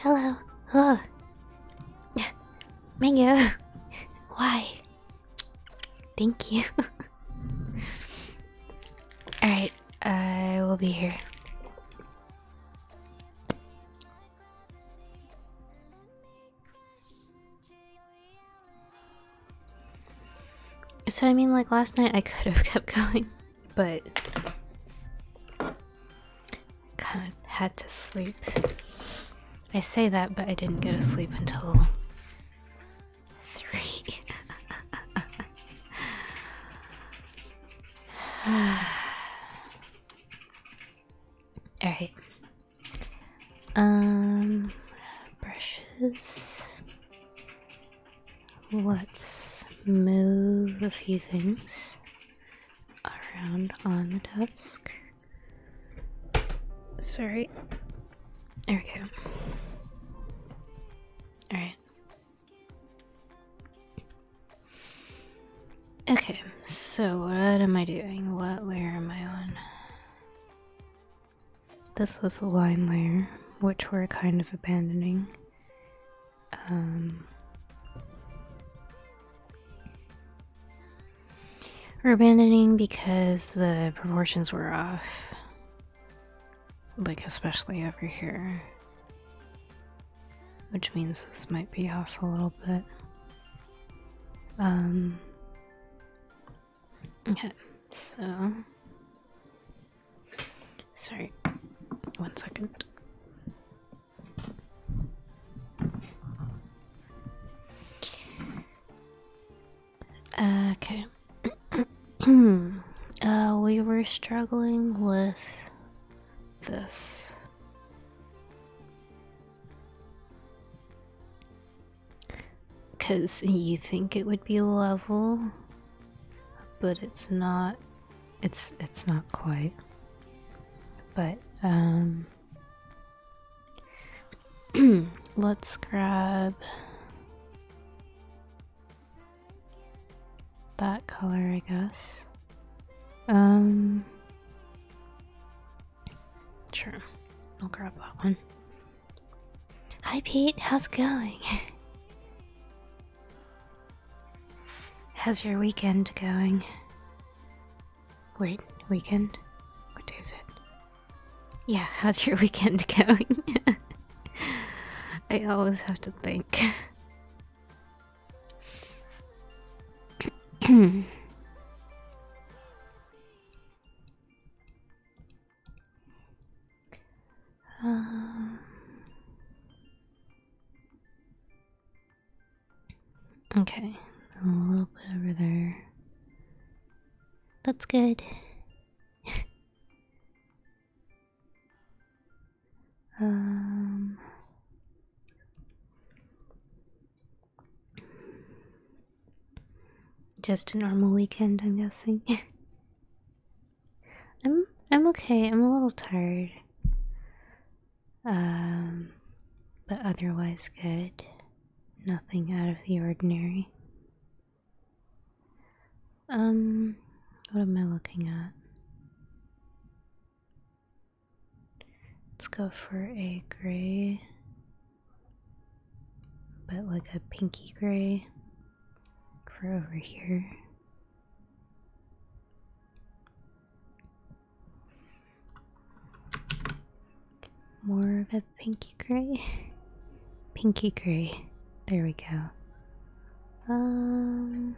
Hello. Oh. Mango. Why? Thank you. Alright, I uh, will be here. So, I mean, like last night I could have kept going, but kind of had to sleep. I say that, but I didn't go to sleep until three. Alright. Um, brushes. Let's move a few things around on the desk. Sorry. There we go. Alright. Okay, so what am I doing? What layer am I on? This was the line layer, which we're kind of abandoning. Um, we're abandoning because the proportions were off. Like, especially over here. Which means this might be off a little bit. Um, Okay, so sorry, one second. Okay. uh, we were struggling with this. Because you think it would be level, but it's not. It's it's not quite. But um, let's grab that color, I guess. Um, sure, I'll grab that one. Hi Pete, how's it going? how's your weekend going? Wait, weekend? What day is it? Yeah, how's your weekend going? I always have to think. Um, okay, a little bit over there. That's good. um just a normal weekend, I'm guessing. I'm I'm okay. I'm a little tired. Um but otherwise good. Nothing out of the ordinary. Um what am I looking at? Let's go for a gray but like a pinky gray for over here. More of a pinky gray. Pinky gray. There we go. Um,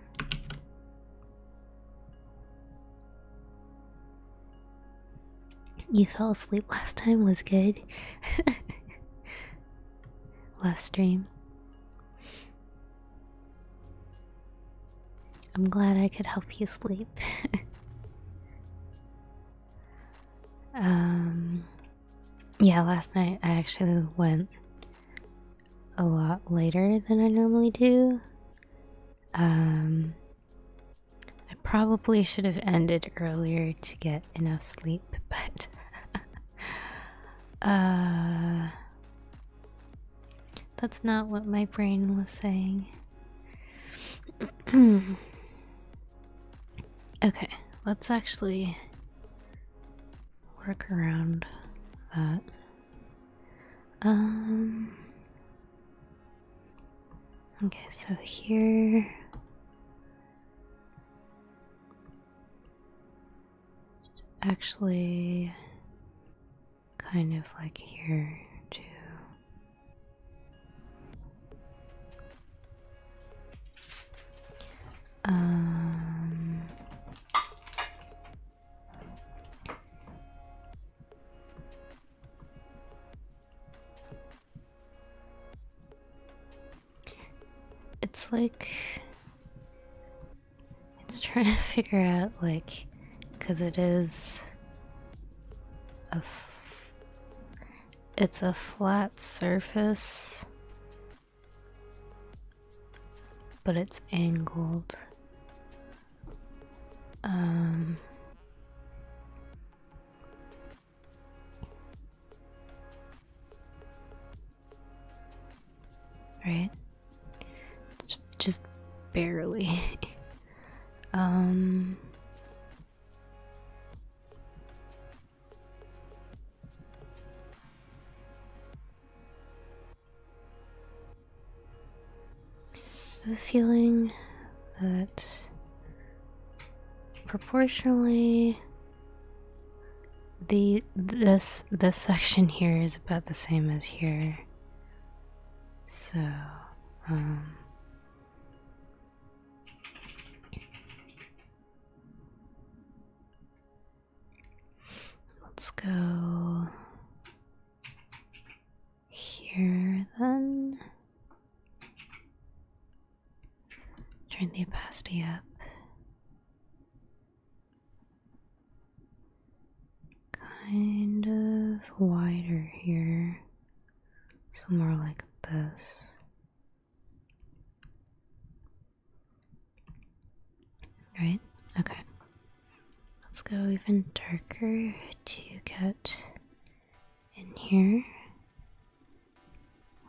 you fell asleep last time was good. last dream. I'm glad I could help you sleep. um yeah, last night I actually went a lot later than I normally do. Um I probably should have ended earlier to get enough sleep, but uh that's not what my brain was saying. okay, let's actually work around that. Um Okay, so here Actually, kind of like here, too. Um, it's like it's trying to figure out like because it is a it's a flat surface but it's angled um, Right? Just barely. um I am feeling that proportionally the this this section here is about the same as here so um, let's go here then Turn the opacity up. Kind of wider here, so more like this. Right? Okay. Let's go even darker to get in here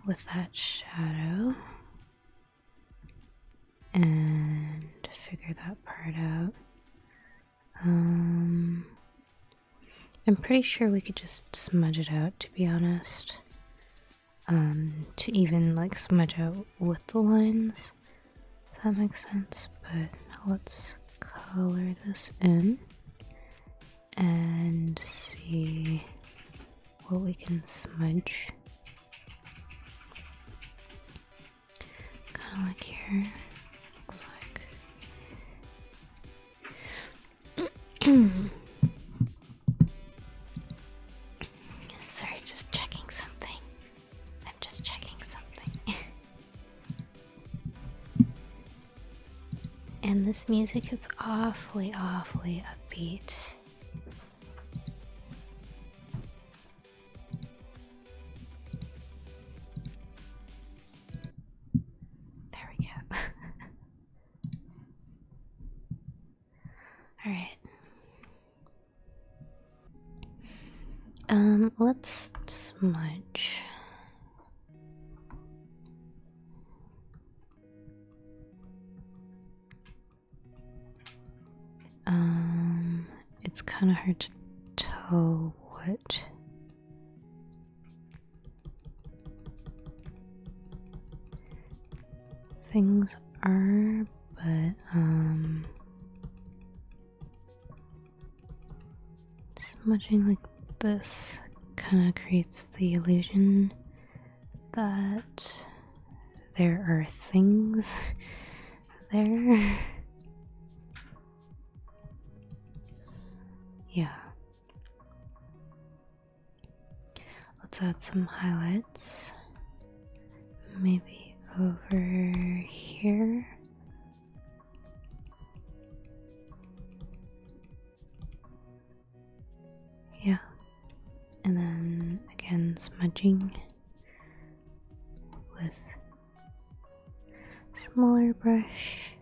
with that shadow and figure that part out. Um, I'm pretty sure we could just smudge it out, to be honest. Um, to even like smudge out with the lines, if that makes sense. But let's color this in and see what we can smudge. Kind of like here, looks like. Sorry, just checking something. I'm just checking something. And this music is awfully, awfully upbeat. There we go. All right. Um, let's smudge. Um, it's kind of hard to tell what. Things are, but um, smudging like this kind of creates the illusion that there are things there. Yeah. Let's add some highlights. Maybe over here. Yeah. And then again, smudging with smaller brush.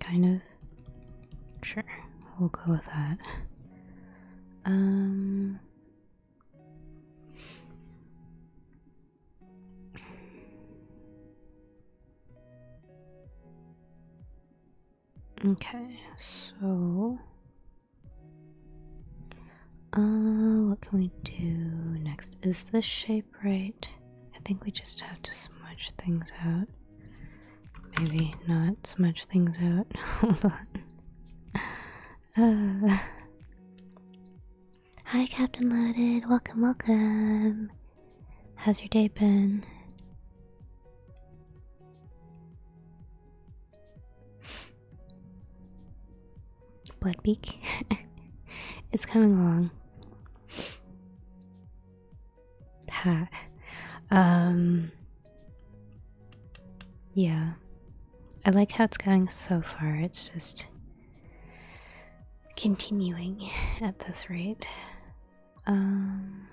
Kind of. Sure, we'll go with that. Um Okay, so uh what can we do next? Is this shape right? I think we just have to smudge things out. Maybe not smudge things out. Hold on. Hi, Captain Loaded. Welcome, welcome. How's your day been? Bloodbeak. it's coming along. Ha. Um yeah. I like how it's going so far. It's just continuing at this rate. Um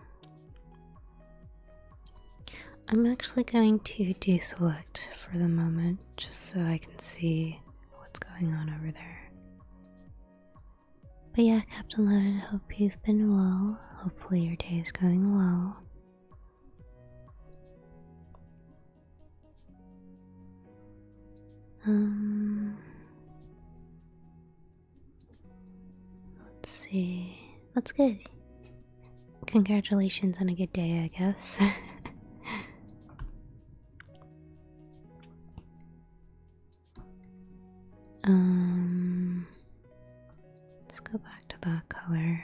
I'm actually going to deselect for the moment just so I can see what's going on over there. But yeah, Captain Loaded, hope you've been well. Hopefully your day is going well. Um, let's see. That's good. Congratulations on a good day, I guess. um, let's go back. To that color and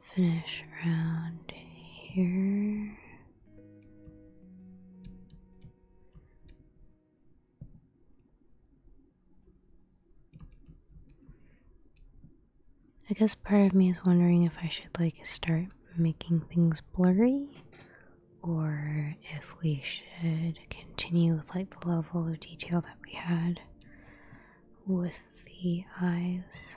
finish around here. I guess part of me is wondering if I should like start making things blurry or if we should continue with like the level of detail that we had with the eyes.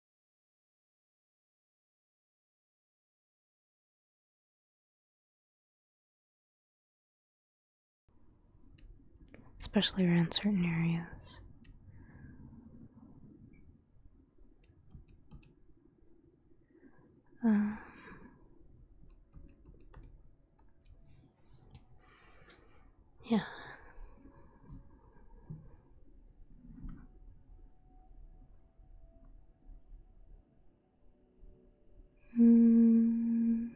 especially around certain areas. Um, yeah. Hmm.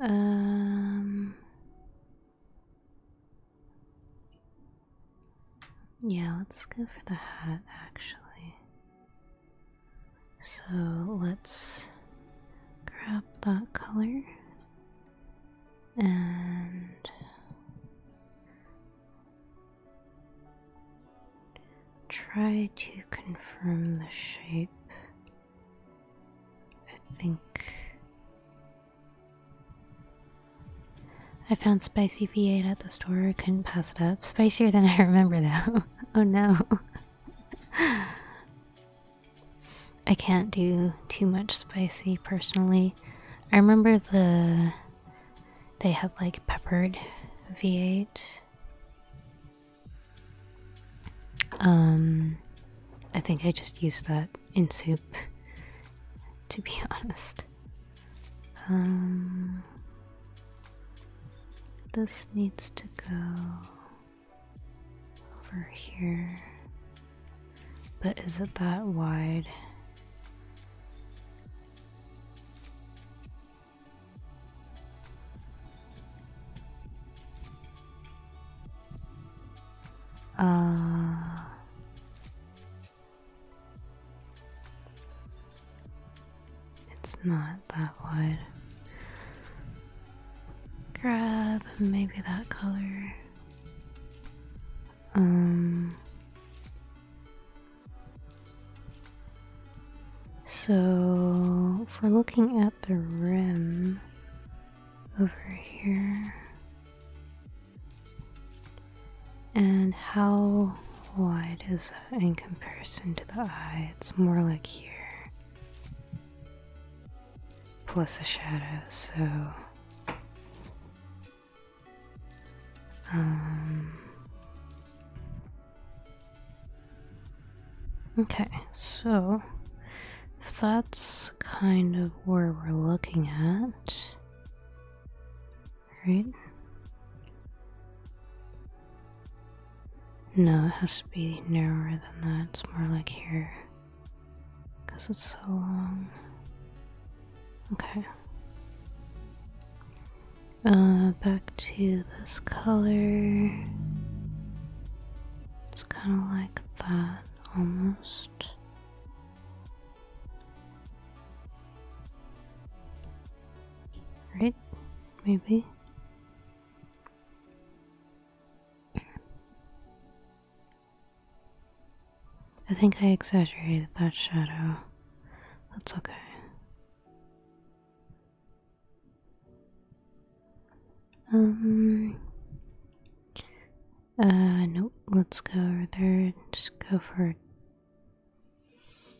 Um, yeah, let's go for the hat actually. So let's grab that color and try to confirm the shape. I think I found spicy V8 at the store, couldn't pass it up. Spicier than I remember though. oh no. I can't do too much spicy personally. I remember the they had like peppered V8. Um I think I just used that in soup to be honest. Um this needs to go over here. But is it that wide? Uh, it's not that wide grab maybe that color. Um, so for looking at the rim over here and how wide is that in comparison to the eye? It's more like here plus a shadow, so um Okay, so if that's kind of where we're looking at, right? No, it has to be narrower than that. It's more like here. Because it's so long. Okay. Uh, back to this color. It's kind of like that, almost. Right? Maybe. I think I exaggerated that shadow. That's okay. Um. Uh, nope. Let's go over there. Just go for a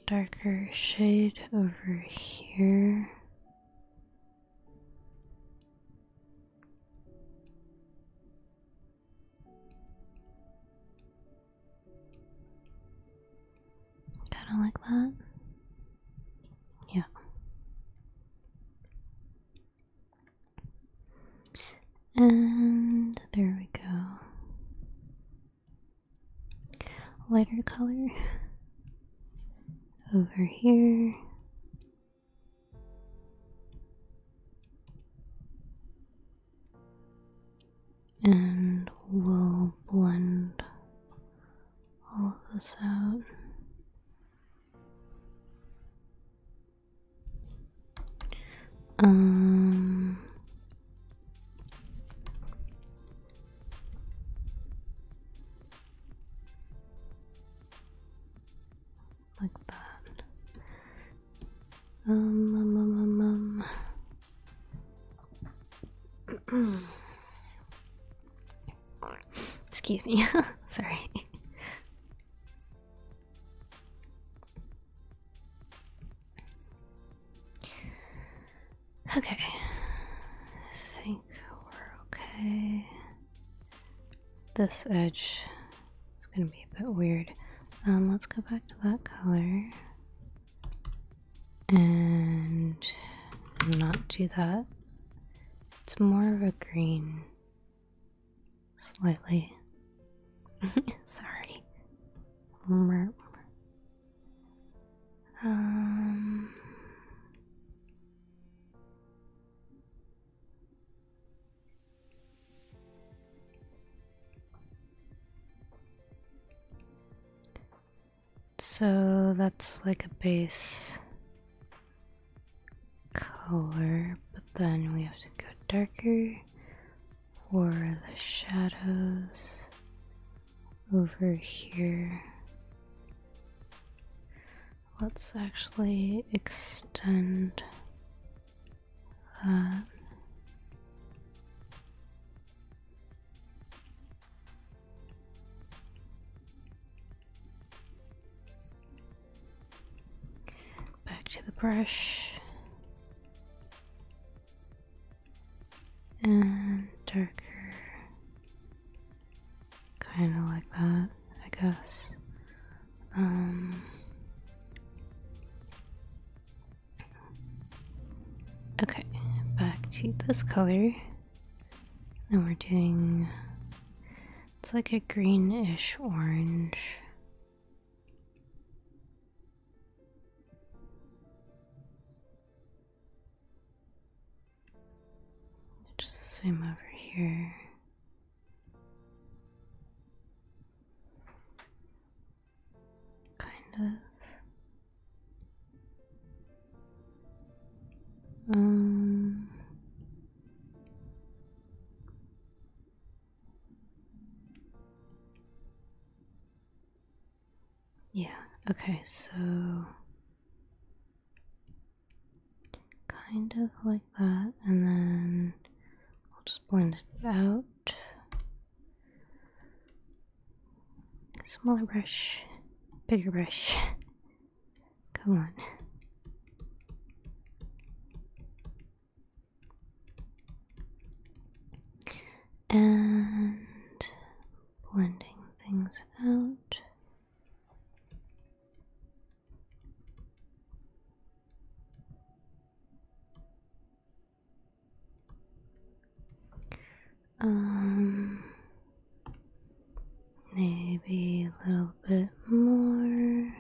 darker shade over here. Kinda like that? Yeah. And there we go. Lighter color over here. And we'll blend all of this out. Um, like that. Um, um, um, um Excuse me. Sorry. Okay, I think we're okay this edge is gonna be a bit weird. Um, let's go back to that color and not do that. It's more of a green, slightly. Sorry. Um, so that's like a base color, but then we have to go darker for the shadows over here. Let's actually extend that. Back to the brush and darker Kind of like that, I guess. Um, okay, back to this color. Then we're doing it's like a greenish orange. Just same over here. Kind of. Um. Yeah, okay, so kind of like that and then I'll just blend it out smaller brush bigger brush come on and blending things out um, maybe a little bit more.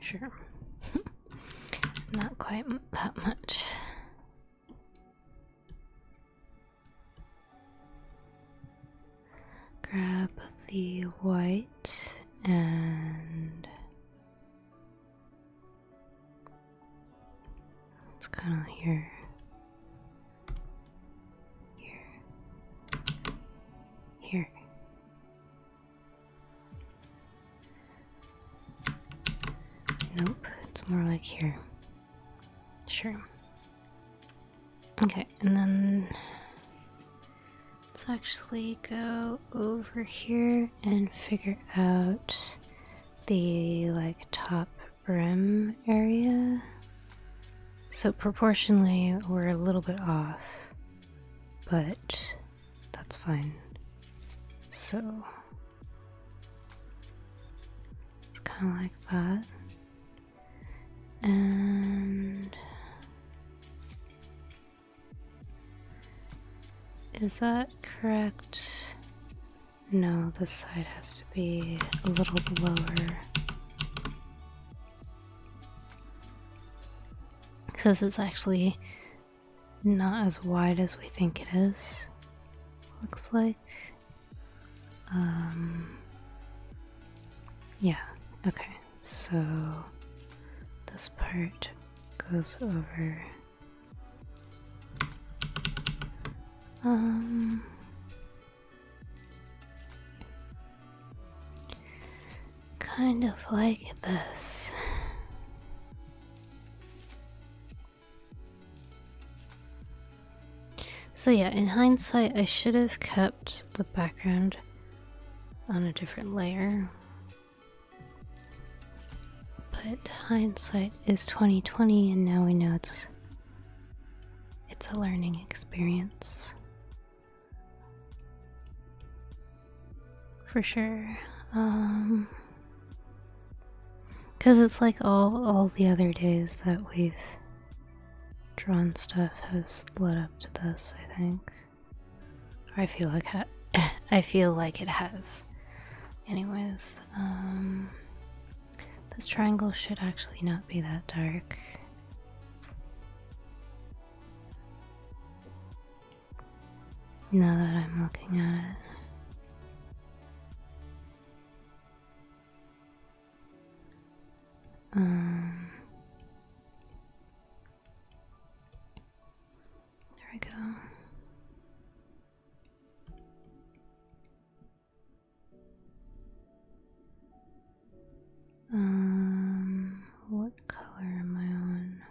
Sure. Not quite that much. Grab the white and it's kind of here. Here. Here. Nope, it's more like here. Sure. Okay, and then let's actually go over here and figure out the like top rim area. So proportionally, we're a little bit off, but that's fine. So it's kind of like that. And is that correct? No, this side has to be a little lower. Because it's actually not as wide as we think it is. Looks like. Um, yeah, okay, so this part goes over. Um, kind of like this. So yeah, in hindsight, I should have kept the background on a different layer. But hindsight is 2020 and now we know it's it's a learning experience. For sure. Um, Cause it's like all all the other days that we've drawn stuff has led up to this, I think. I feel like ha I feel like it has. Anyways, um, this triangle should actually not be that dark. Now that I'm looking at it. Um, there we go. Um, what color am I on?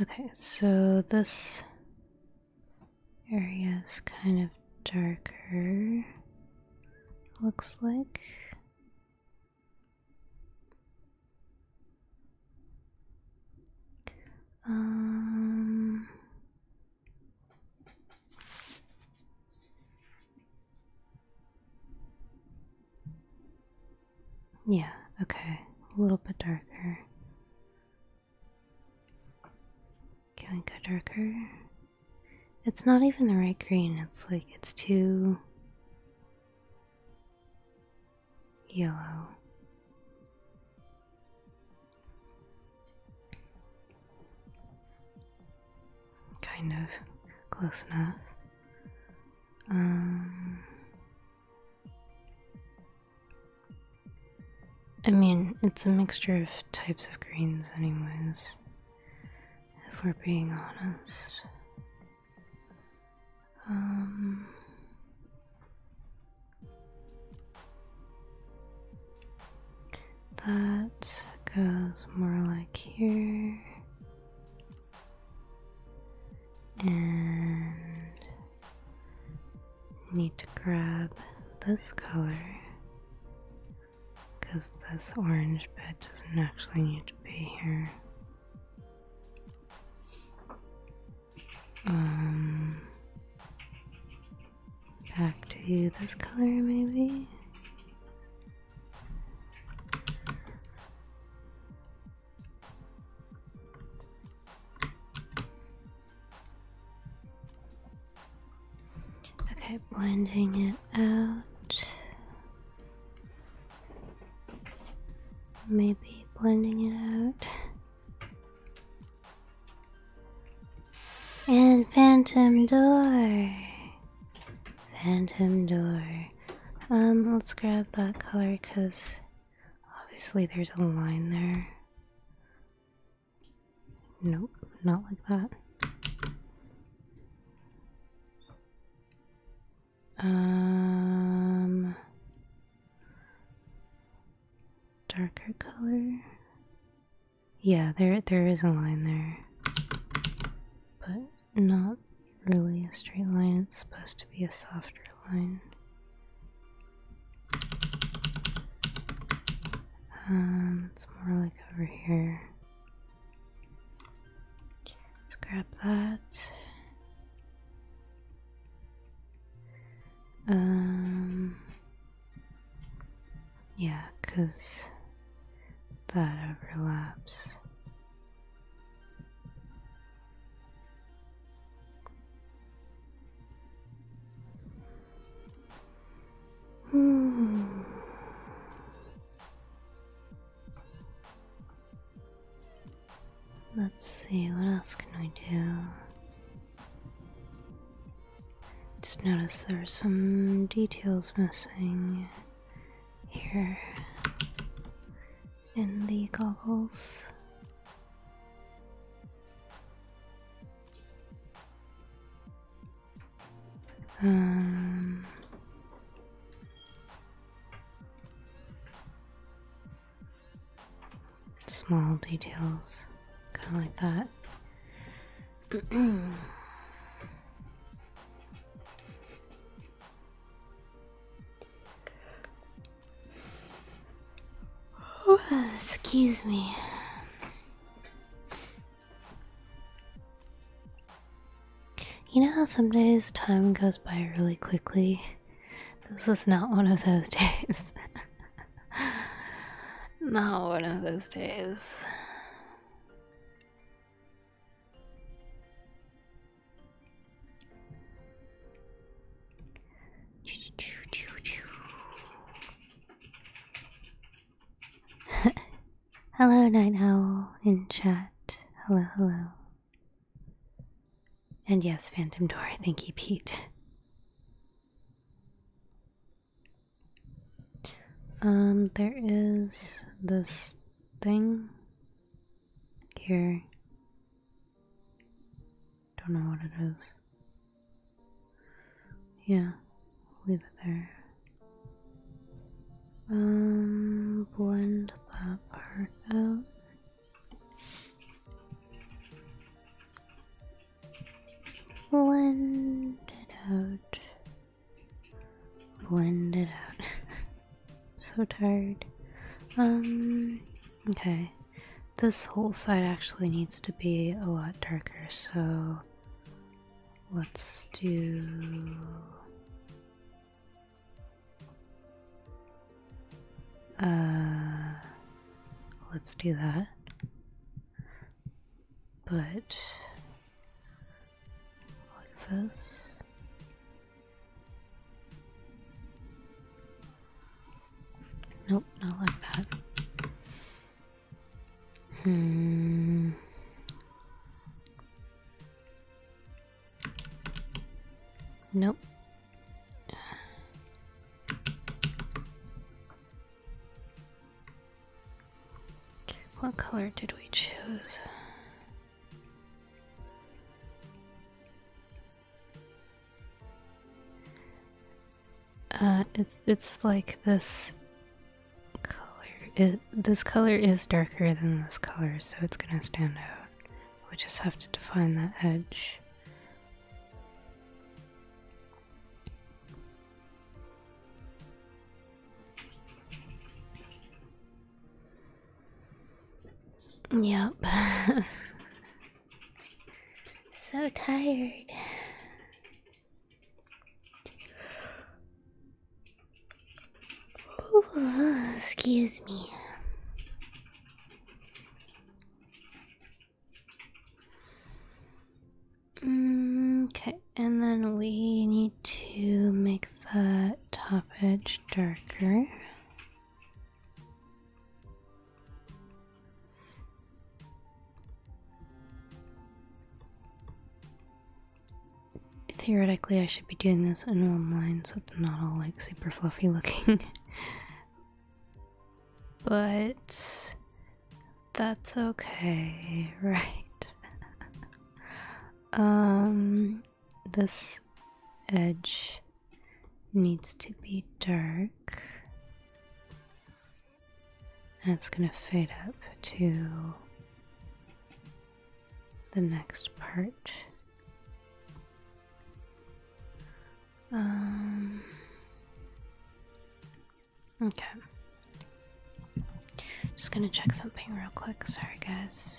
Okay, so this area is kind of darker, looks like. Um, yeah, okay. A little bit darker. Can we go darker? It's not even the right green, it's like it's too yellow kind of close enough. Um, I mean, it's a mixture of types of greens, anyways, if we're being honest. Um, that goes more like here and need to grab this color because this orange bit doesn't actually need to be here. Um, back to this color maybe. Okay, blending it out. Maybe blending it out. And phantom door. Phantom door. Um, let's grab that color because obviously there's a line there. Nope, not like that. Um, darker color. Yeah, there there is a line there, but not really a straight line, it's supposed to be a softer line. Um, it's more like over here. Let's grab that. Um, yeah, because that overlaps. Hmm. Let's see, what else can we do? Just notice there are some details missing here in the goggles. Um, small details, kind of like that. excuse me. You know how some days time goes by really quickly? This is not one of those days. not one of those days. hello, Night Owl in chat. Hello, hello. And yes, Phantom Door, thank you, Pete. Um, there is this thing here. Don't know what it is. Yeah, leave it there. Um, blend that part out. Blend it out blend it out. so tired. Um, okay. This whole side actually needs to be a lot darker, so let's do. Uh, let's do that. But like this. Nope, not like that. Hmm. Nope. What color did we choose? Uh, it's it's like this color. this color is darker than this color, so it's gonna stand out. We just have to define that edge. Yep. so tired. excuse me. Mm, okay, and then we need to make the top edge darker. Theoretically, I should be doing this in one line so it's not all like super fluffy looking. but that's okay, right? um, this edge needs to be dark. And it's going to fade up to the next part. Um, okay. Just gonna check something real quick. Sorry, guys.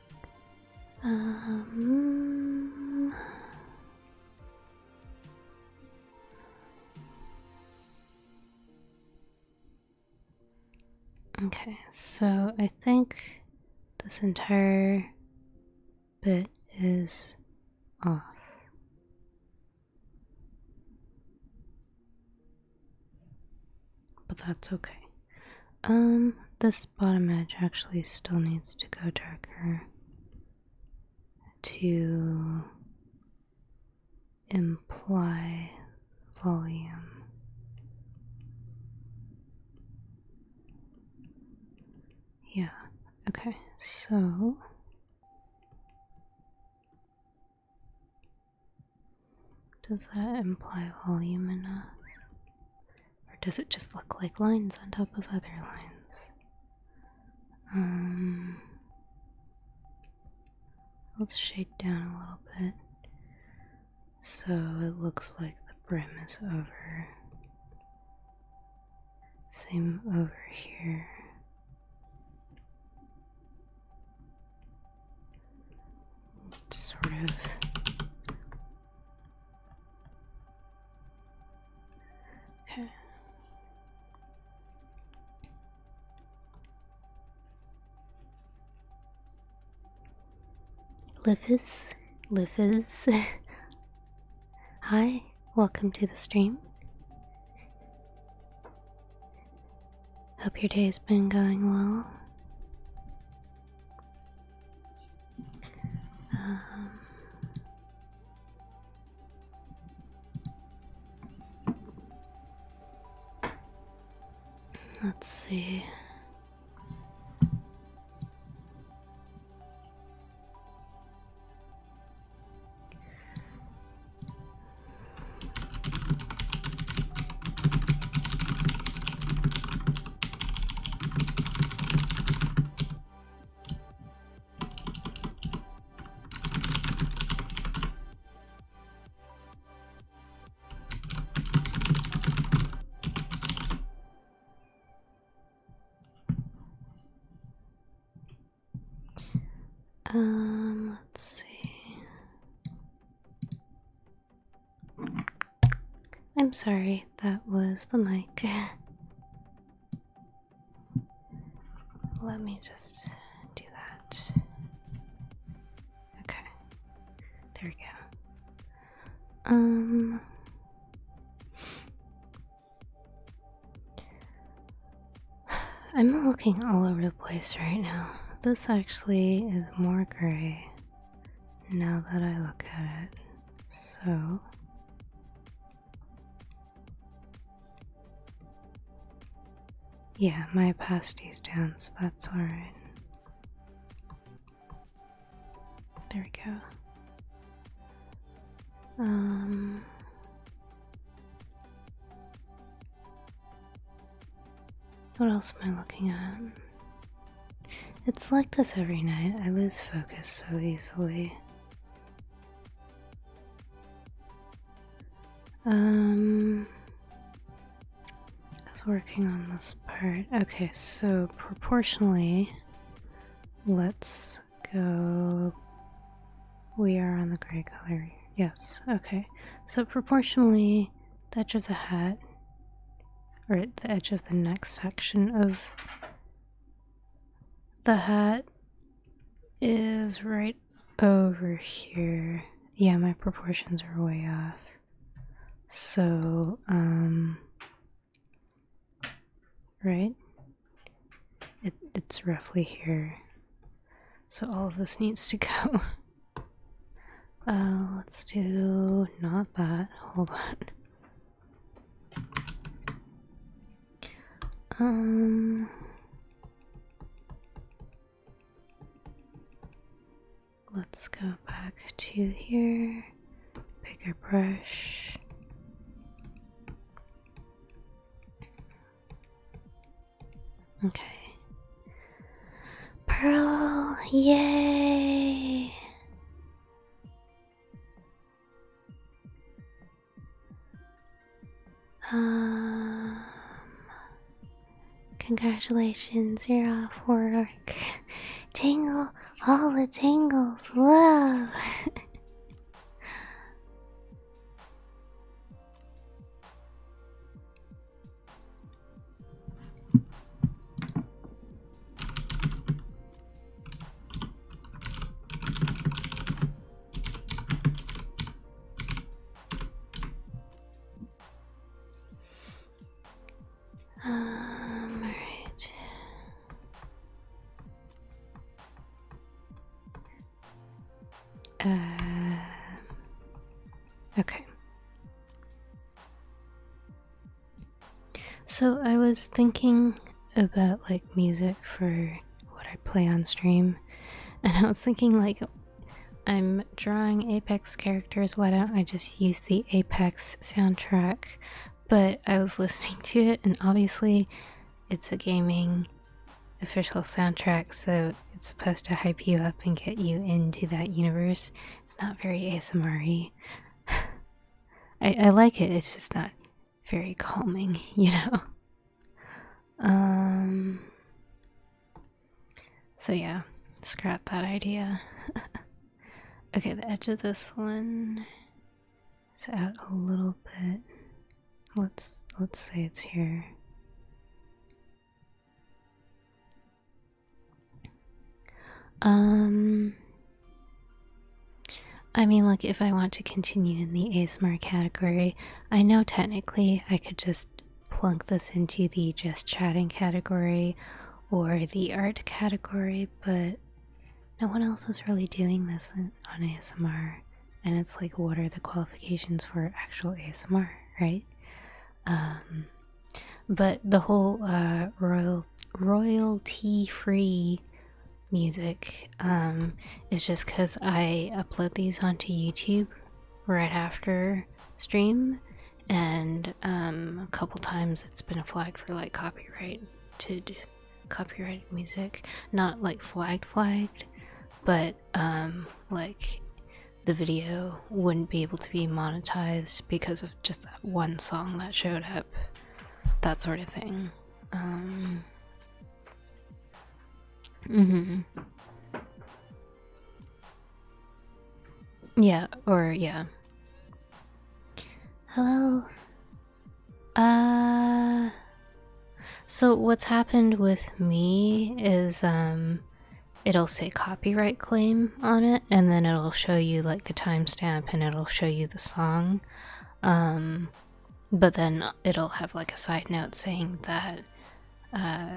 Um, okay, so I think this entire bit is off. But that's okay. Um, this bottom edge actually still needs to go darker to imply volume. Yeah, okay, so does that imply volume enough? Or does it just look like lines on top of other lines? Um, let's shade down a little bit so it looks like the brim is over. Same over here sort of okay Liffis, Liffis. Hi, welcome to the stream. Hope your day's been going well. Um, let's see. Um, let's see. I'm sorry, that was the mic. Let me just do that. Okay. There we go. Um I'm looking all over the place right now. This actually is more gray now that I look at it. So, yeah, my opacity's down, so that's alright. There we go. Um, what else am I looking at? It's like this every night. I lose focus so easily. Um, I was working on this part. Okay, so proportionally, let's go. We are on the gray color. Yes, okay. So proportionally, the edge of the hat or at the edge of the next section of the hat is right over here. Yeah, my proportions are way off. So, um, right? It, it's roughly here. So all of this needs to go. Uh, let's do not that. Hold on. Um, let's go back to here. Pick Bigger brush. Okay. Pearl, yay! Um, congratulations, you're off work. Tangle, all the tangles, love. Um, all right. Uh, okay. So I was thinking about like music for what I play on stream, and I was thinking like I'm drawing Apex characters, why don't I just use the Apex soundtrack? But I was listening to it, and obviously it's a gaming official soundtrack, so it's supposed to hype you up and get you into that universe. It's not very ASMR I, like it, it's just not very calming, you know? Um. So, yeah, scrap that idea. okay, the edge of this one is out a little bit. Let's let's say it's here. Um, I mean, like, if I want to continue in the ASMR category, I know technically I could just plunk this into the just chatting category or the art category, but no one else is really doing this on ASMR. And it's like, what are the qualifications for actual ASMR, right? Um, but the whole uh, royal royalty-free music um, is just because I upload these onto YouTube right after stream, and um, a couple times it's been flagged for like copyright to copyrighted music, not like flagged flagged, but um, like the video wouldn't be able to be monetized because of just one song that showed up, that sort of thing. Um, mm Yeah, or yeah. Hello. Uh. So what's happened with me is um it'll say copyright claim on it and then it'll show you like the timestamp and it'll show you the song um but then it'll have like a side note saying that uh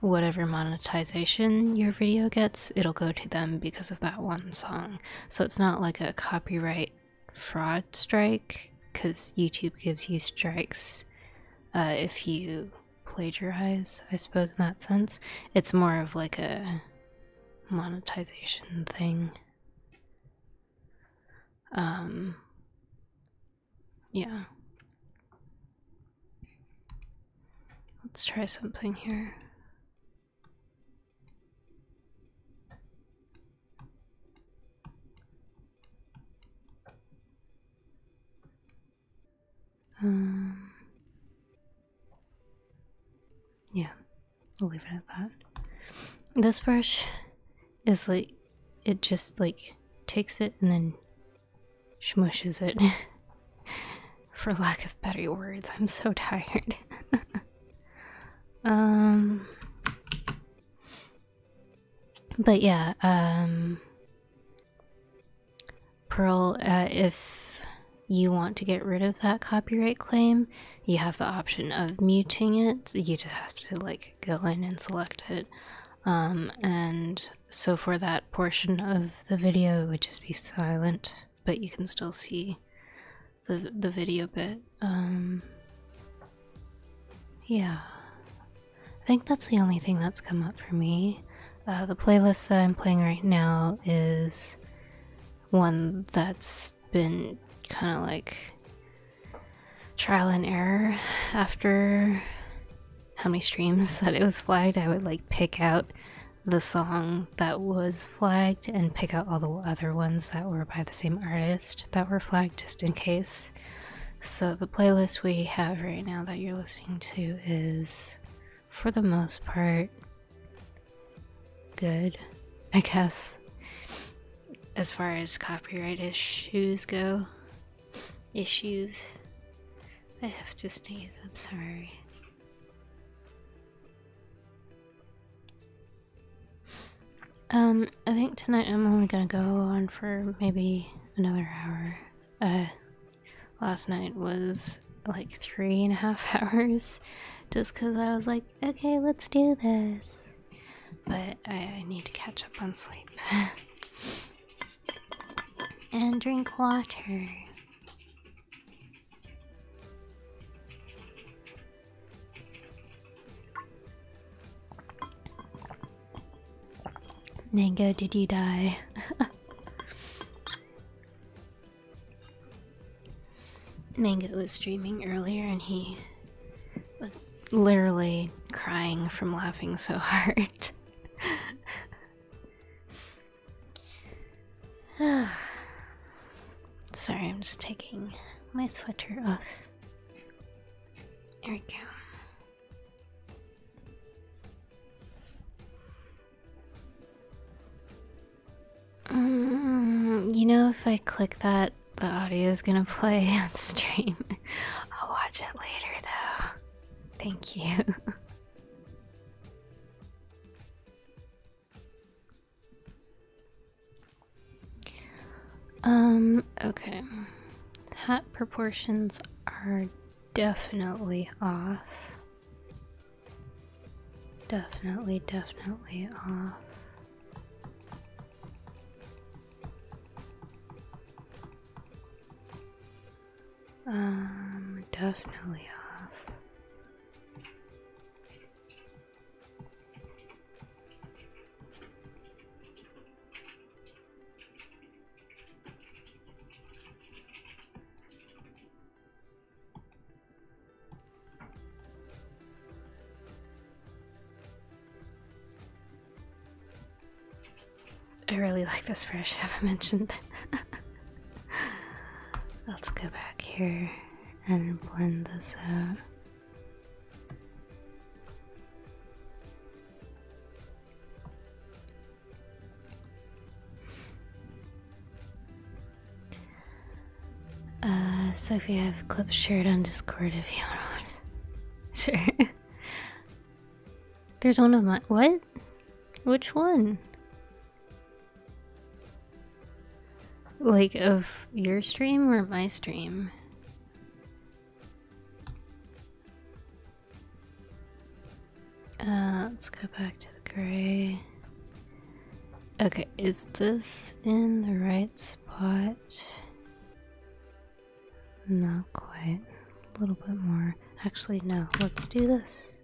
whatever monetization your video gets it'll go to them because of that one song so it's not like a copyright fraud strike because youtube gives you strikes uh, if you plagiarize, I suppose, in that sense. It's more of like a monetization thing. Um, yeah. Let's try something here. Um, yeah, we'll leave it at that. This brush is like, it just like takes it and then smushes it. For lack of better words, I'm so tired. um, but yeah, um, Pearl, uh, if you want to get rid of that copyright claim, you have the option of muting it. You just have to like go in and select it. Um, and so for that portion of the video, it would just be silent, but you can still see the the video bit. Um, yeah, I think that's the only thing that's come up for me. Uh, the playlist that I'm playing right now is one that's been kind of like trial and error after how many streams that it was flagged. I would like pick out the song that was flagged and pick out all the other ones that were by the same artist that were flagged just in case. So, the playlist we have right now that you're listening to is for the most part, good, I guess, as far as copyright issues go. Issues. I have to sneeze, I'm sorry. Um, I think tonight I'm only gonna go on for maybe another hour. Uh, last night was like three and a half hours just because I was like, okay, let's do this. But I, I need to catch up on sleep and drink water. Mango, did you die? Mango was streaming earlier and he was literally crying from laughing so hard. Sorry, I'm just taking my sweater off. There we go. Mm, you know, if I click that, the audio is gonna play on stream. I'll watch it later, though. Thank you. um, okay. Hat proportions are definitely off. Definitely, definitely off. Uh, um, definitely off. Uh, I really like this brush, have I mentioned? Let's go back here and blend this out. Uh, Sophie, I have clips shared on Discord if you want. sure. There's one of my. What? Which one? Like, of your stream or my stream? Uh, let's go back to the gray. Okay, is this in the right spot? Not quite. A little bit more. Actually, no. Let's do this.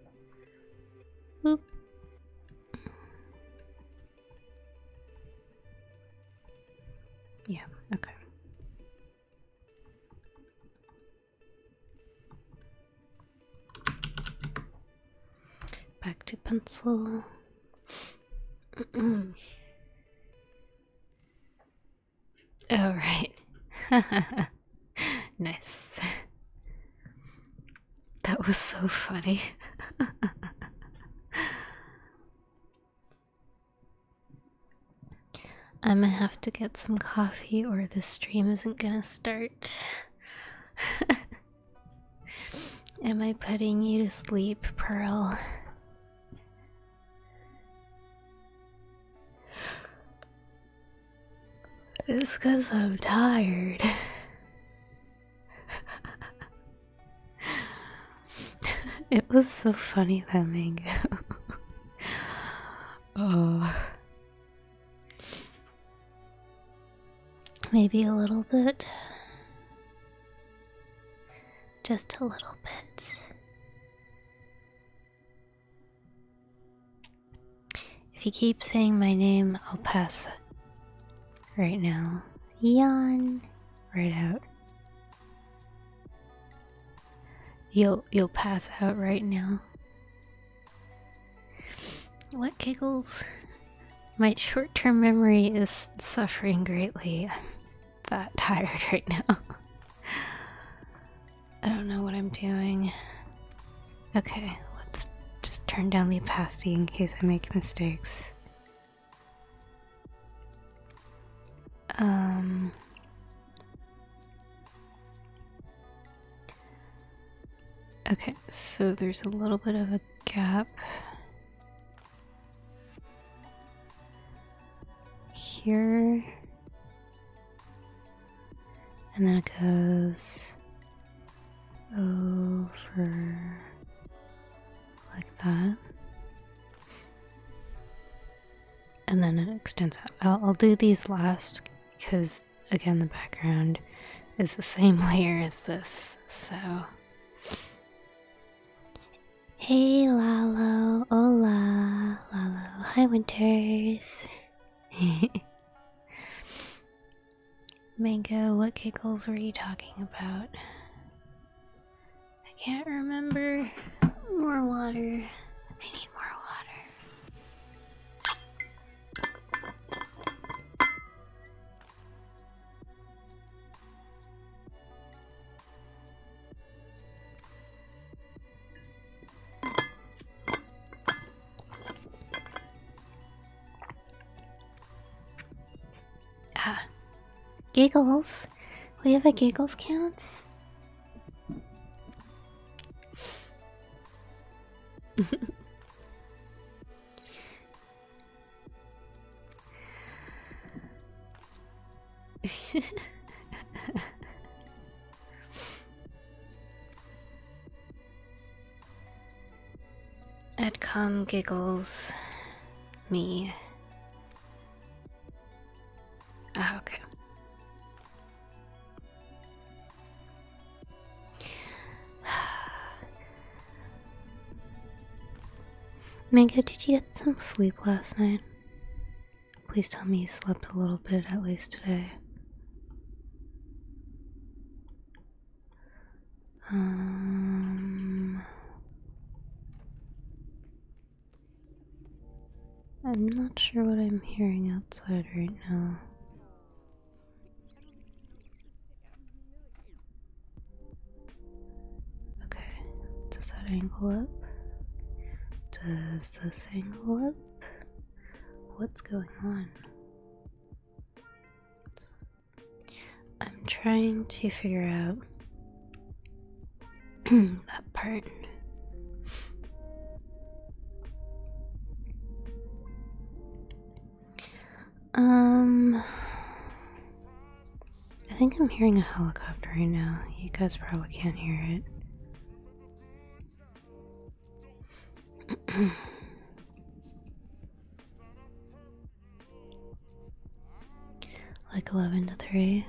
Yeah, okay. Back to pencil. All right. nice. That was so funny. i might have to get some coffee or the stream isn't gonna start. Am I putting you to sleep, Pearl? It's because I'm tired. it was so funny that mango. oh. Maybe a little bit. Just a little bit. If you keep saying my name, I'll pass right now. Yawn right out. You'll you'll pass out right now. What giggles? My short term memory is suffering greatly. I'm that tired right now. I don't know what I'm doing. Okay, let's just turn down the opacity in case I make mistakes. Um. Okay, so there's a little bit of a gap here, and then it goes over like that, and then it extends out. I'll, I'll do these last because again the background is the same layer as this, so Hey Lalo, hola, Lalo, hi Winters. Mango, what giggles were you talking about? I can't remember. More water. I need more water. Ah, giggles. We have a giggles count. Edcom giggles me. Ah, okay. Mango, did you get some sleep last night? Please tell me you slept a little bit at least today. Um, I'm not sure what I'm hearing outside right now. Okay, does that angle up? Does this angle up? What's going on? I'm trying to figure out that part. Um. I think I'm hearing a helicopter right now. You guys probably can't hear it. like 11 to 3.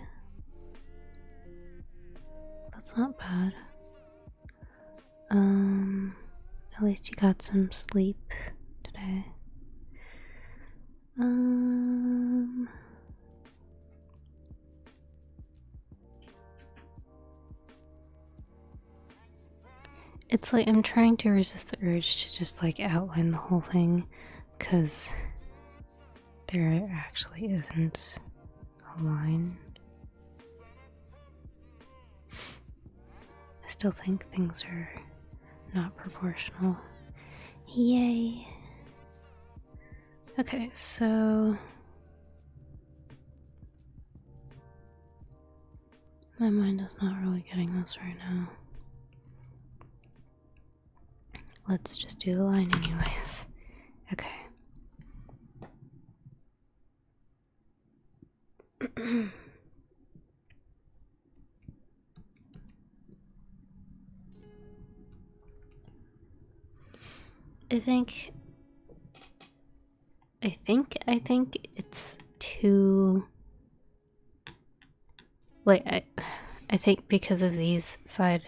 That's not bad. Um, at least you got some sleep today. Um, it's like I'm trying to resist the urge to just like outline the whole thing because there actually isn't a line I still think things are not proportional. Yay! Okay, so. My mind is not really getting this right now. Let's just do the line, anyways. Okay. I think I think I think it's too like I I think because of these side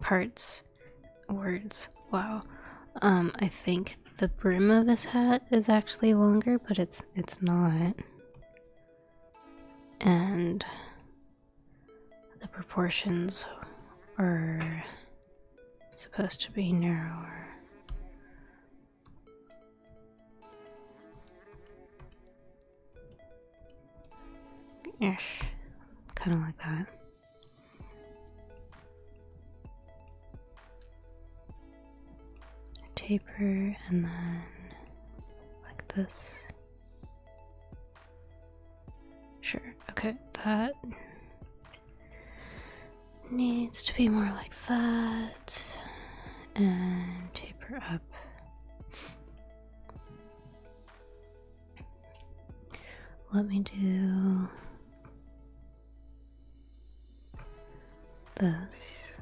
parts words. Wow. Um, I think the brim of his hat is actually longer, but it's it's not. And the proportions are supposed to be narrower. Yeah. Kind of like that taper and then like this. Sure, okay, that needs to be more like that and taper up. Let me do Thus,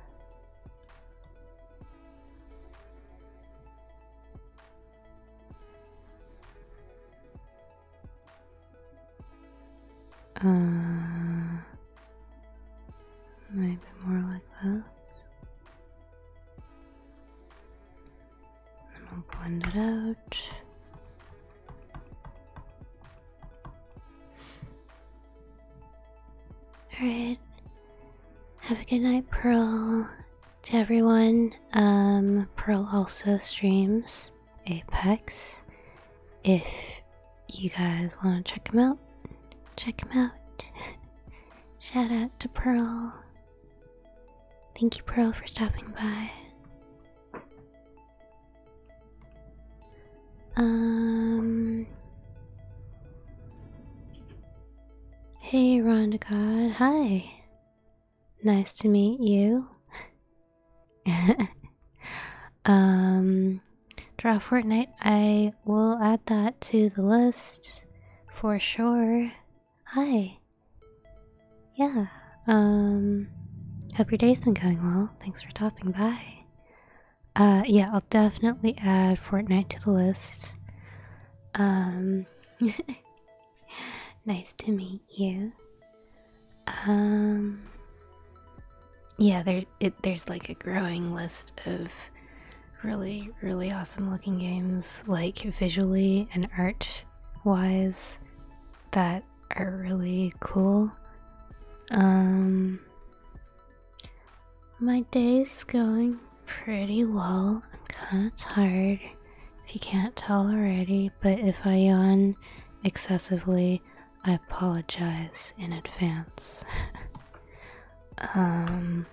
uh, maybe more like this. And we'll blend it out. Alright. Have a good night, Pearl. To everyone, um, Pearl also streams Apex. If you guys want to check him out, check him out. Shout out to Pearl. Thank you, Pearl, for stopping by. Um. Hey, Rhonda God. Hi. Nice to meet you. um, draw Fortnite. I will add that to the list for sure. Hi. Yeah. Um, hope your day's been going well. Thanks for stopping by. Uh, yeah, I'll definitely add Fortnite to the list. Um, nice to meet you. Um, yeah, there it, there's like a growing list of really, really awesome looking games, like visually and art wise, that are really cool. Um, my day's going pretty well. I'm kind of tired, if you can't tell already, but if I yawn excessively, I apologize in advance. um,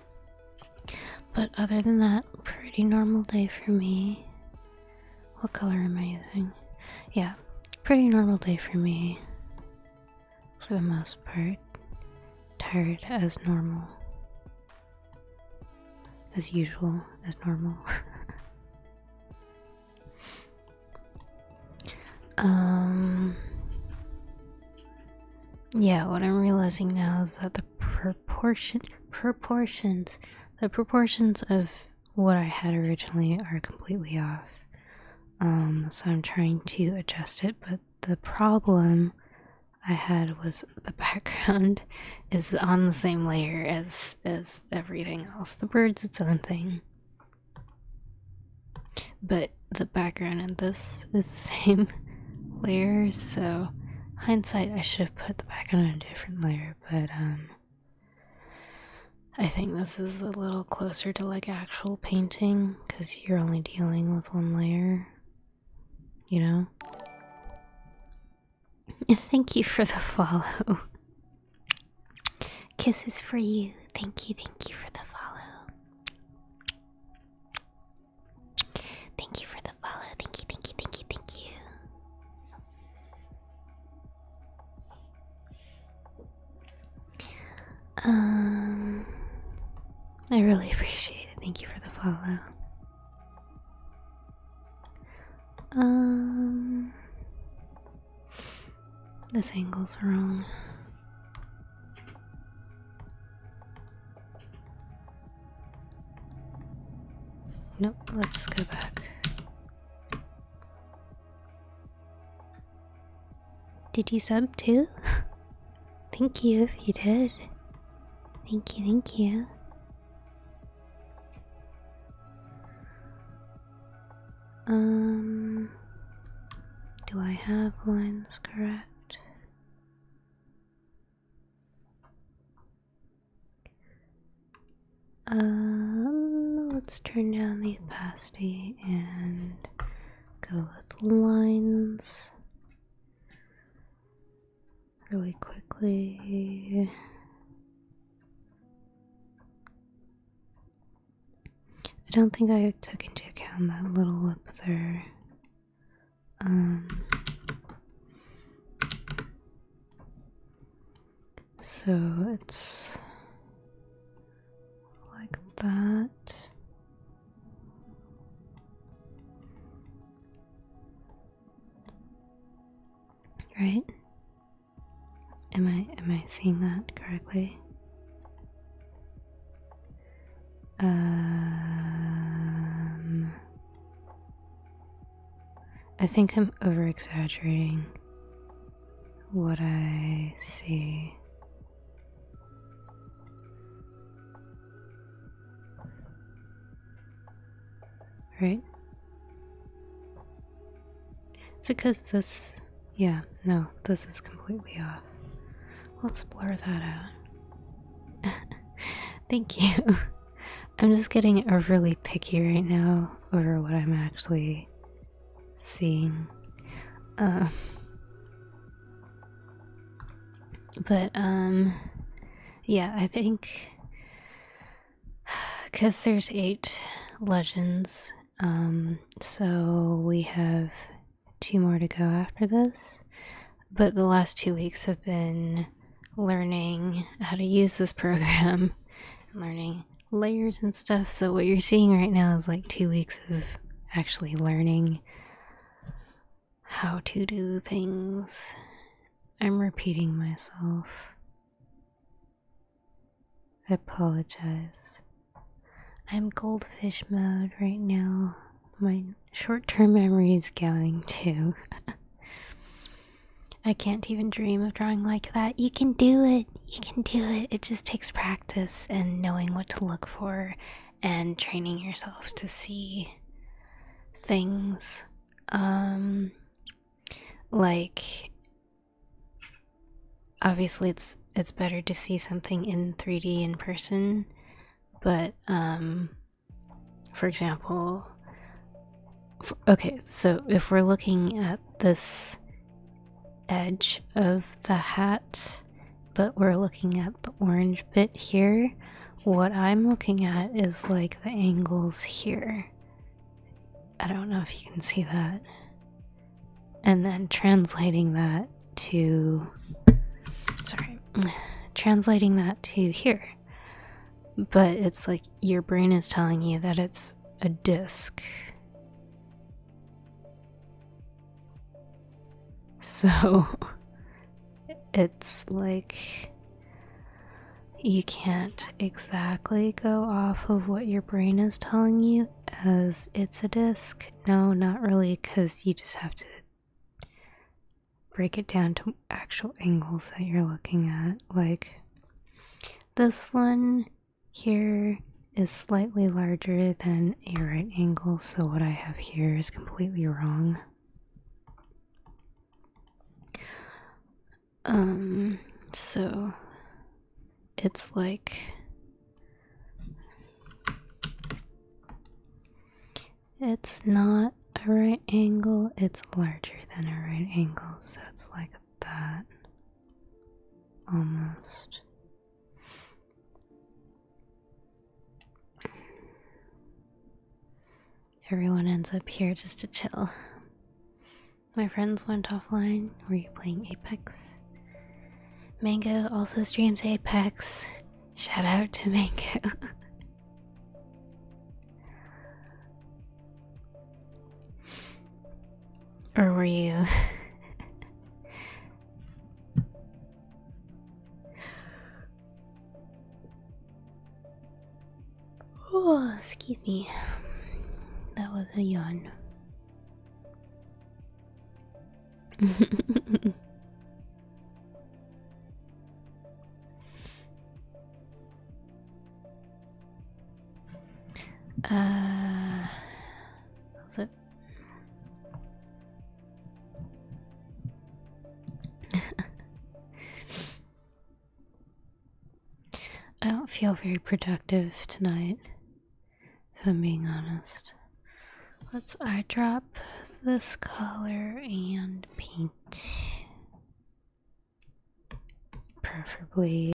but other than that, pretty normal day for me. What color am I using? Yeah, pretty normal day for me for the most part. Tired as normal. As usual, as normal. um. Yeah, what I'm realizing now is that the proportion proportions the proportions of what I had originally are completely off. Um, so I'm trying to adjust it, but the problem I had was the background is on the same layer as as everything else. The bird's its own thing. But the background in this is the same layer, so hindsight I should have put the background on a different layer, but um I think this is a little closer to like actual painting because you're only dealing with one layer, you know? Thank you for the follow. Kisses for you. Thank you, thank you for the follow. Thank you for the follow. Thank you, thank you, thank you, thank you. Um, I really appreciate it. Thank you for the follow. Um, this angle's wrong. Nope, let's go back. Did you sub too? thank you if you did. Thank you, thank you. Um, do I have lines correct? Um, let's turn down the opacity and go with lines really quickly. I don't think I took into account that little lip there. Um, so it's like that. Right? Am I am I seeing that correctly? Um, I think I'm over exaggerating what I see. Right? It's because this, yeah, no, this is completely off. Let's blur that out. Thank you. I'm just getting overly picky right now over what I'm actually seeing. Uh, but, um, yeah, I think because there's eight legends, um, so we have two more to go after this. But the last two weeks have been learning how to use this program learning layers and stuff. So what you're seeing right now is like two weeks of actually learning how to do things. I'm repeating myself. I apologize. I'm goldfish mode right now. My short term memory is going too. I can't even dream of drawing like that. You can do it you can do it. It just takes practice and knowing what to look for and training yourself to see things um like obviously it's it's better to see something in 3D in person but um for example okay so if we're looking at this edge of the hat, but we're looking at the orange bit here. What I'm looking at is like the angles here. I don't know if you can see that. And then translating that to. Sorry. Translating that to here. But it's like your brain is telling you that it's a disc. So it's like you can't exactly go off of what your brain is telling you as it's a disc. No, not really, because you just have to break it down to actual angles that you're looking at. Like this one here is slightly larger than a right angle, so what I have here is completely wrong. Um, so it's like it's not a right angle, it's larger than a right angle, so it's like that almost. Everyone ends up here just to chill. My friends went offline. Were you playing Apex? Mango also streams Apex. Shout out to Mango. Or were you? oh, excuse me. That was a yawn. Uh, that's I don't feel very productive tonight, if I'm being honest. Let's eye drop this color and paint. Preferably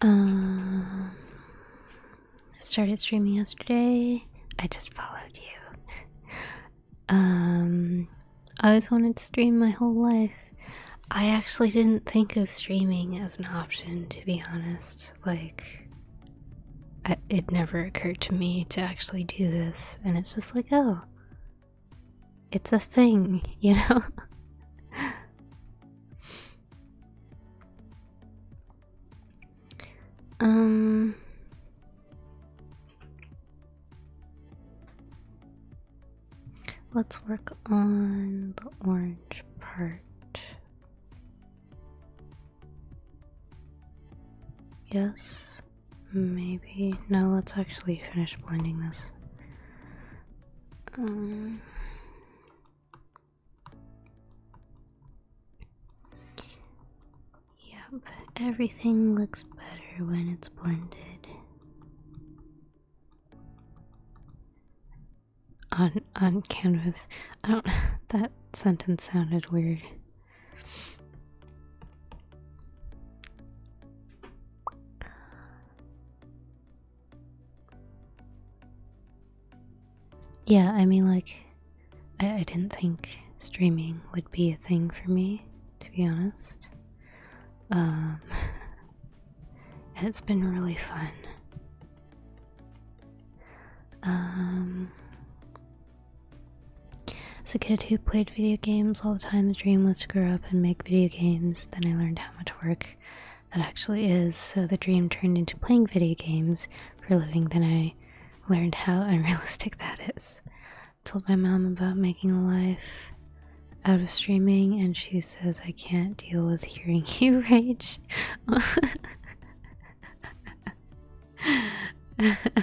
Um, I started streaming yesterday. I just followed you. Um, I always wanted to stream my whole life. I actually didn't think of streaming as an option, to be honest. Like, it never occurred to me to actually do this, and it's just like, oh, it's a thing, you know? um. Let's work on the orange part. Yes, maybe. No, let's actually finish blending this. Um, yep, everything looks better when it's blended. Uh, on canvas. I don't that sentence sounded weird. Yeah, I mean like I didn't think streaming would be a thing for me, to be honest. Um and it's been really fun. Um, as a kid who played video games all the time, the dream was to grow up and make video games. Then I learned how much work that actually is, so the dream turned into playing video games for a living. Then I learned how unrealistic that is. Told my mom about making a life out of streaming, and she says, I can't deal with hearing you rage.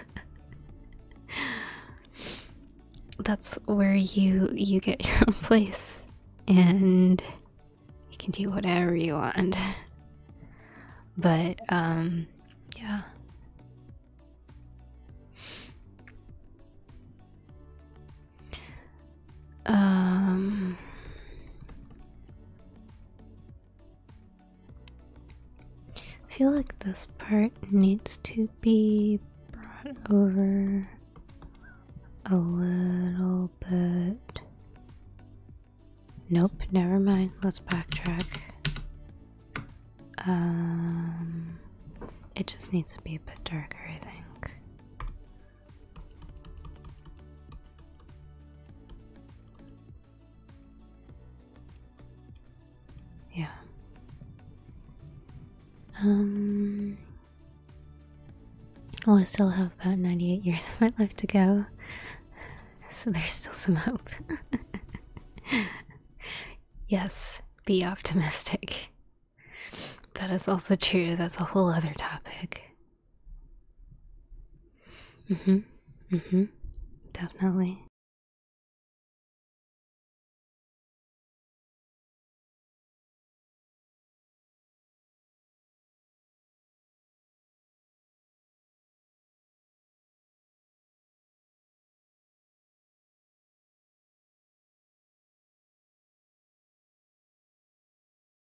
That's where you you get your own place and you can do whatever you want. But um yeah. Um I feel like this part needs to be brought over a little bit. Nope, never mind. Let's backtrack. Um, it just needs to be a bit darker, I think. Yeah. Um, well, I still have about 98 years of my life to go, so there's still some hope. yes, be optimistic. That is also true, that's a whole other topic. Mm-hmm. Mm-hmm. Definitely.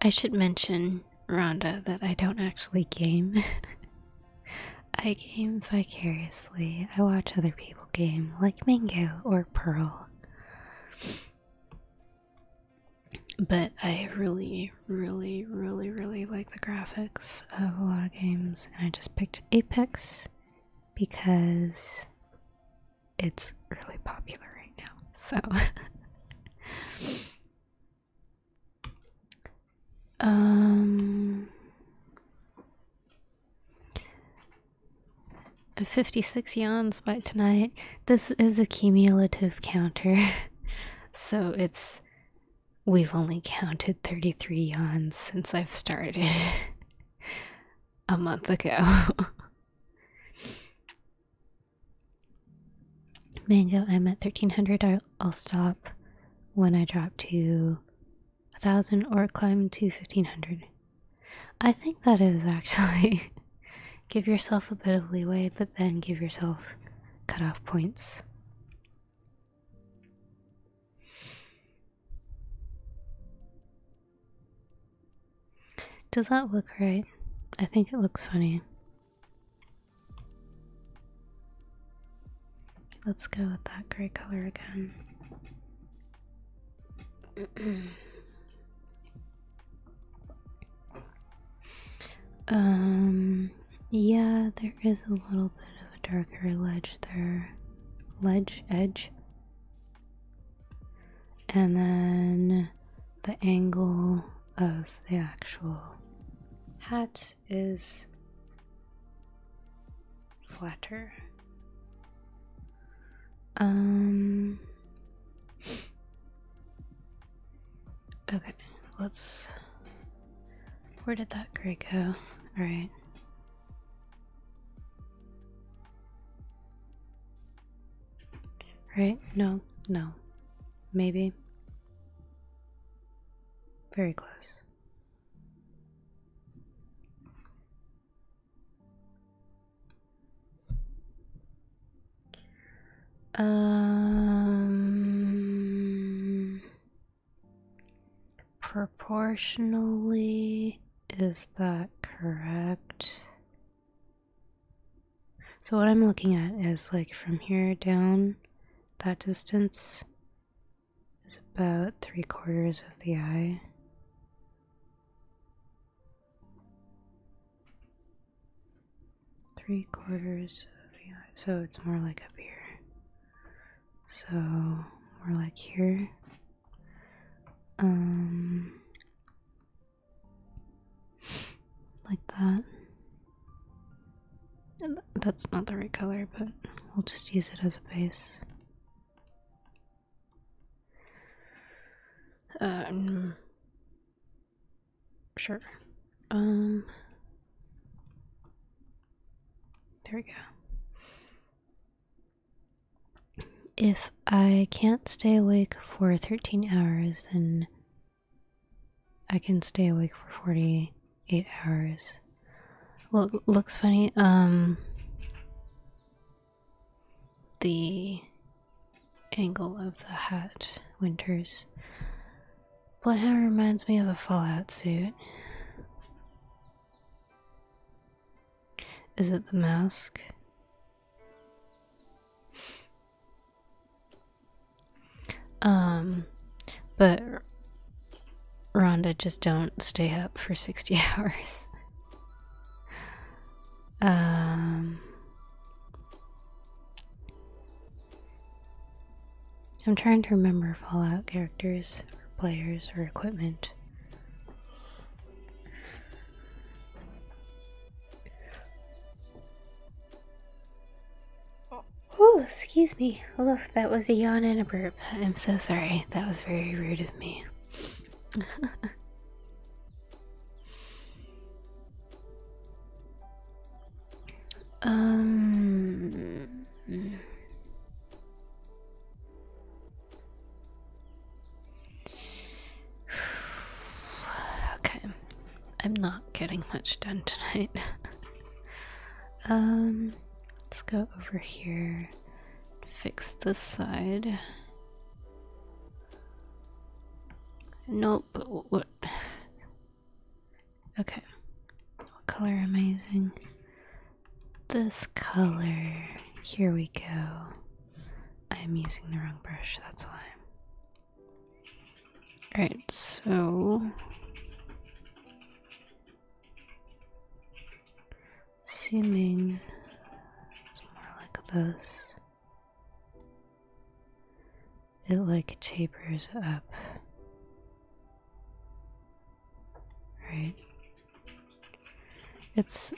I should mention, Rhonda, that I don't actually game. I game vicariously. I watch other people game, like Mango or Pearl. But I really, really, really, really like the graphics of a lot of games, and I just picked Apex because it's really popular right now. So um 56 yawns by tonight. This is a cumulative counter. so it's we've only counted 33 yawns since I've started a month ago. Mango, I'm at 1300. I'll, stop when I drop to 1000 or climb to 1500. I think that is actually. give yourself a bit of leeway, but then give yourself cutoff points. Does that look right? I think it looks funny. Let's go with that gray color again. um, yeah, there is a little bit of a darker ledge there. Ledge? Edge? and then the angle of the actual hat is flatter. Um. Okay, let's. Where did that gray go? Alright. Right? No, no. Maybe. Very close. Um, proportionally, is that correct? So what I'm looking at is like from here down, that distance is about three quarters of the eye. Three quarters of the eye. So it's more like up here. So more like here. Um like that. that's not the right color, but we'll just use it as a base. Um, sure. Um, there we go. If I can't stay awake for 13 hours, then I can stay awake for 48 hours. Well, looks funny. Um, the angle of the hat winters. Bloodhound reminds me of a Fallout suit. Is it the mask? Um, but Rhonda just don't stay up for 60 hours. Um, I'm trying to remember Fallout characters or players or equipment. Oh, excuse me. Oh, that was a yawn and a burp. I'm so sorry. That was very rude of me. um. okay, I'm not getting much done tonight. um, let's go over here, fix this side. Nope. What? Okay. What color am I using? This color. Here we go. I'm using the wrong brush, that's why. Alright, so seeming it's more like this. It like tapers up. Right? It's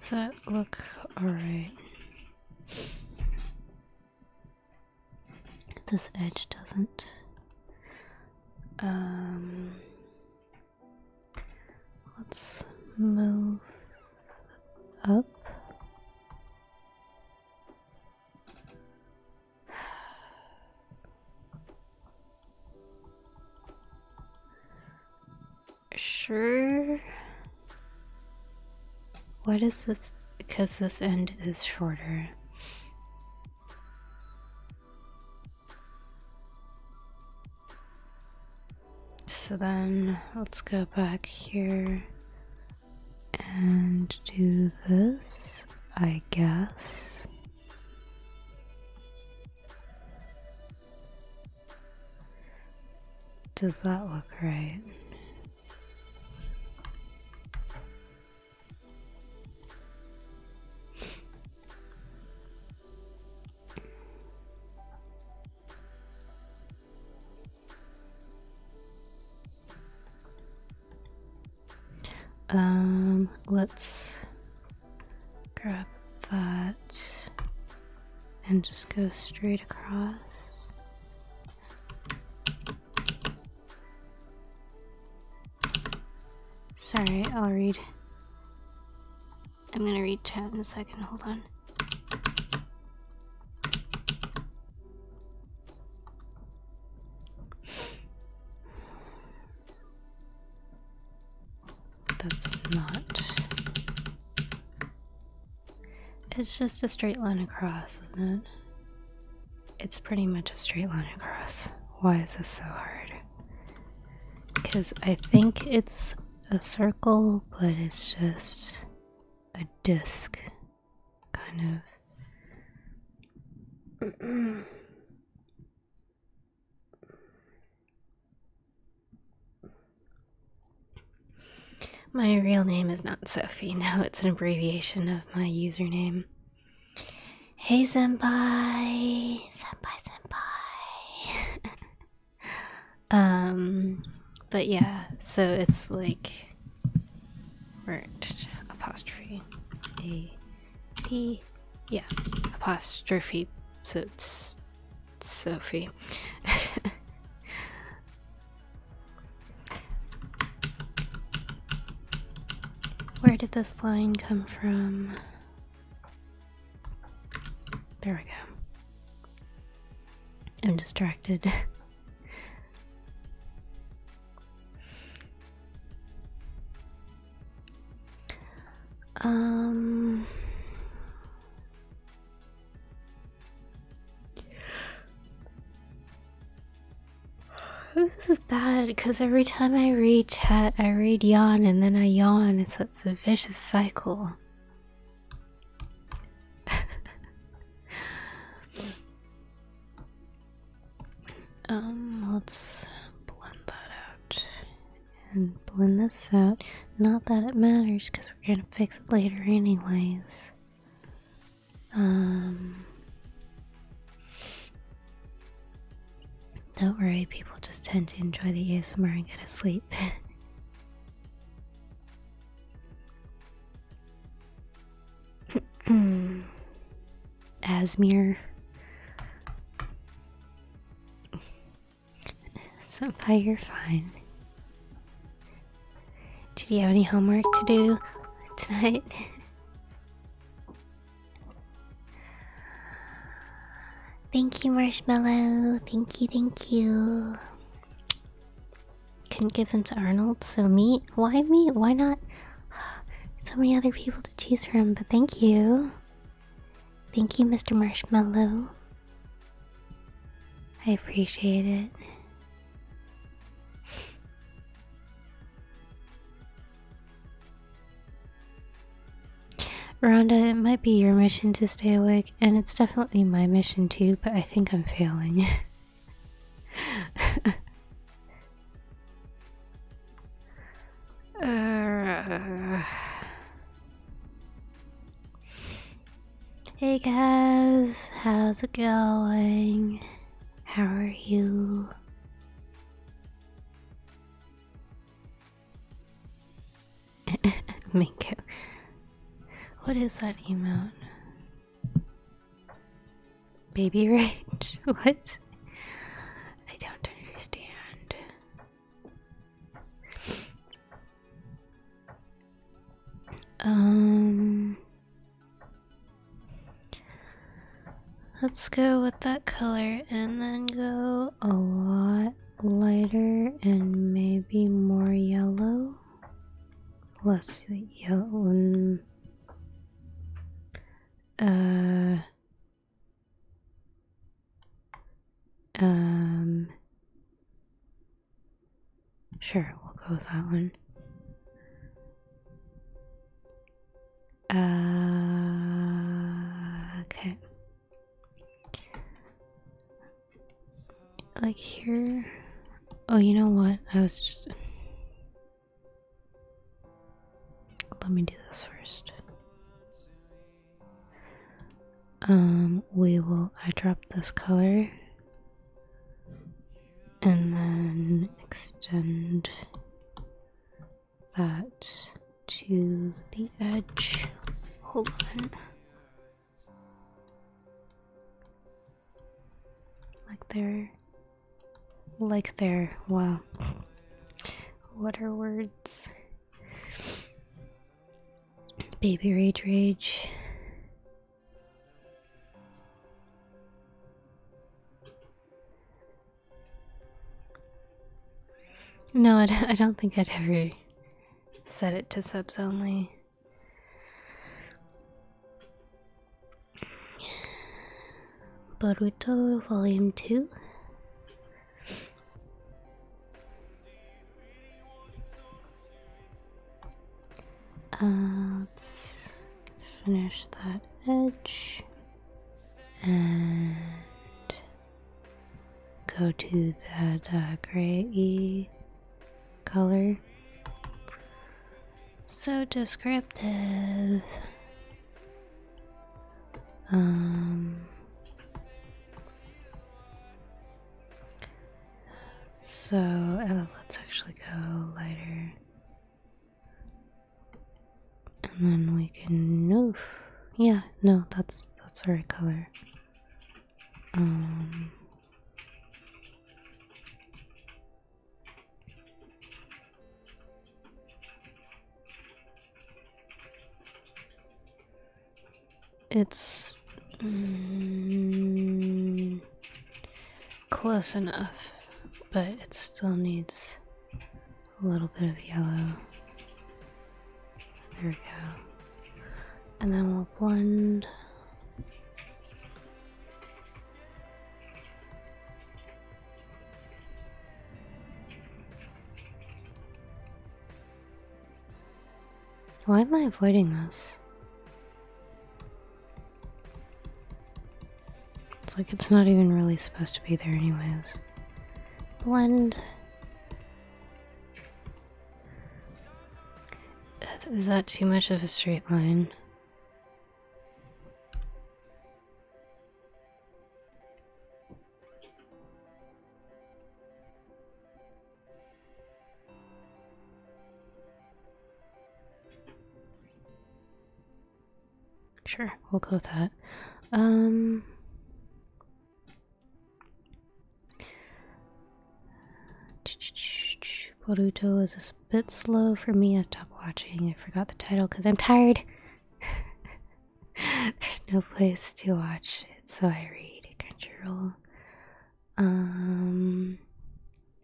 does that look alright? This edge doesn't. Um, let's move up sure. What is this? Because this end is shorter. So then let's go back here and do this, I guess. Does that look right? Um, let's grab that and just go straight across. Sorry, I'll read. I'm gonna read chat in a second, hold on. That's not. It's just a straight line across, isn't it? It's pretty much a straight line across. Why is this so hard? Because I think it's a circle, but it's just a disc, kind of. My real name is not Sophie, no, it's an abbreviation of my username. Hey Senpai! Senpai Senpai! um, but yeah, so it's like. Right, apostrophe. A P. Yeah, apostrophe. So it's Sophie. Where did this line come from? There we go. I'm distracted. um this is bad because every time I read chat, I read yawn and then I yawn. It's, it's a vicious cycle. um, let's blend that out and blend this out. Not that it matters because we're gonna fix it later anyways. Um, don't worry, people just tend to enjoy the ASMR and go to sleep. ASMR. So far, you're fine. Did you have any homework to do tonight? Thank you, Marshmallow. Thank you, thank you. Couldn't give them to Arnold, so me? Why me? Why not? So many other people to choose from, but thank you. Thank you, Mr. Marshmallow. I appreciate it. Rhonda, it might be your mission to stay awake, and it's definitely my mission too, but I think I'm failing. Uh, Hey guys, how's it going? How are you? Minko. What is that emote? Baby rage? What? I don't understand. Um, let's go with that color and then go a lot lighter and maybe more yellow. Less yellow. Uh, um, Sure, we'll go with that one. Uh, okay. Like here. Oh, you know what? I was just. Let me do this first. Um, we will eye drop this color and then extend that to the edge hold on like there like there wow what are words Baby Rage Rage. No, I, don't think I'd ever set it to subs only. Boruto Volume 2 let's finish that edge and go to that uh, gray color. So descriptive. Um, so uh, let's actually go lighter. And then we can Yeah, no, that's that's the right color. Um, it's mm, close enough, but it still needs a little bit of yellow. There we go. And then we'll blend. Why am I avoiding this? It's like it's not even really supposed to be there, anyways. Blend. Is that too much of a straight line? Sure, we'll go with that. Um Boruto is a bit slow for me. I stopped watching. I forgot the title because I'm tired. There's no place to watch it, so I read Crunchyroll. Um,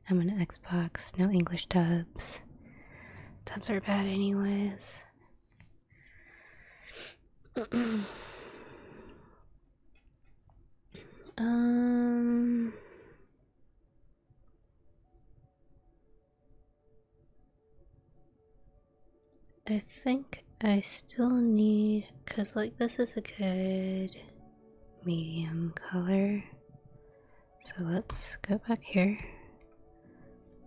I'm an Xbox, no English dubs. Dubs are bad, anyways. um. I think I still need, cause like this is a good medium color. So let's go back here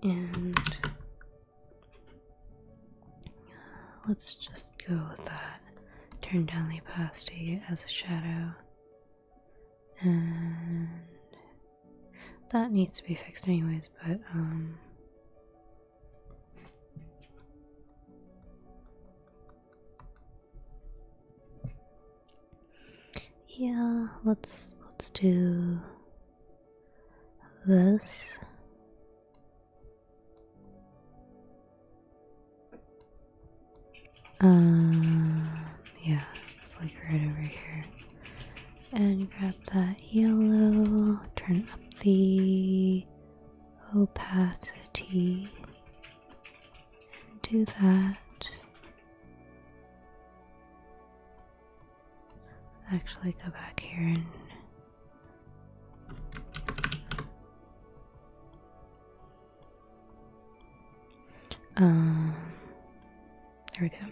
and uh, let's just go with that. Turn down the opacity as a shadow. And that needs to be fixed anyways, but um yeah, let's let's do this. Um, yeah, it's like right over here. And grab that yellow, turn up the opacity and do that. Actually, go back here and um, there we go.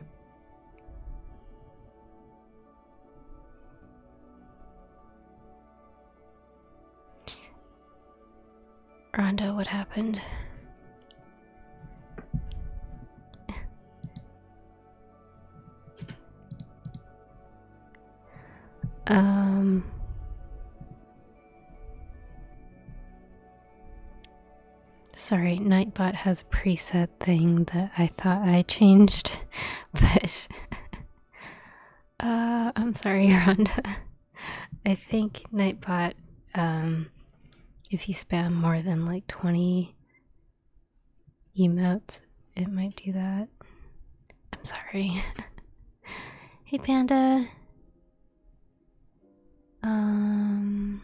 Rhonda, what happened? um Sorry, Nightbot has a preset thing that I thought I changed, but uh, I'm sorry, Rhonda. I think Nightbot, um, if you spam more than like 20 emotes, it might do that. I'm sorry. hey, Panda. Um.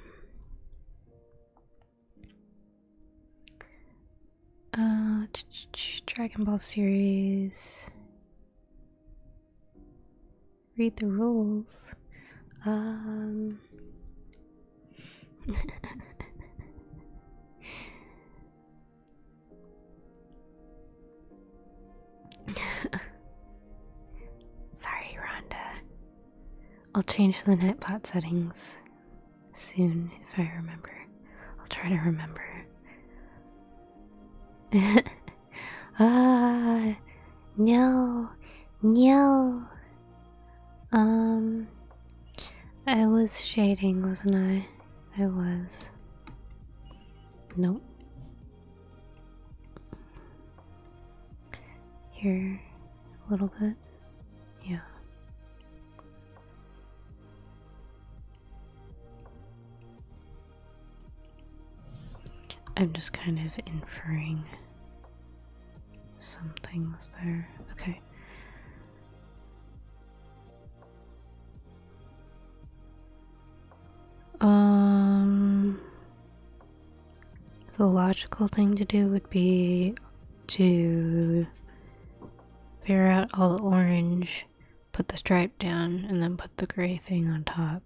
Uh, Dragon Ball series. Read the rules. Um. Sorry, Rhonda. I'll change the netpot settings soon if I remember. I'll try to remember ah, no, no. Um, I was shading, wasn't I? I was. Nope. Here, a little bit. Yeah. I'm just kind of inferring some things there. Okay. Um, the logical thing to do would be to figure out all the orange put the stripe down, and then put the gray thing on top.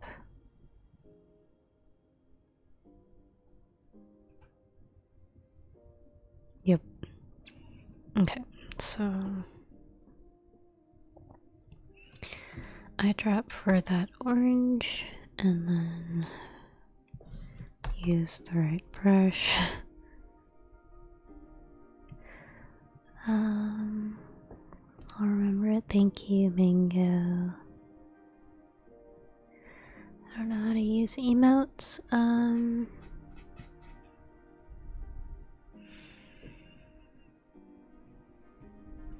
Yep. Okay, so I drop for that orange and then use the right brush. Um, I'll remember it. Thank you, Mango. I don't know how to use emotes. Um,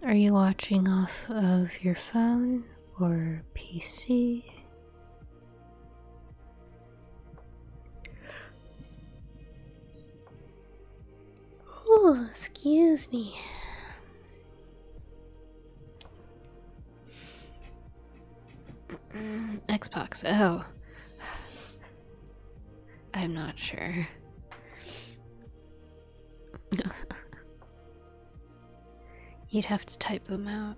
are you watching off of your phone or PC? Oh, excuse me. Xbox. Oh. I'm not sure. You'd have to type them out.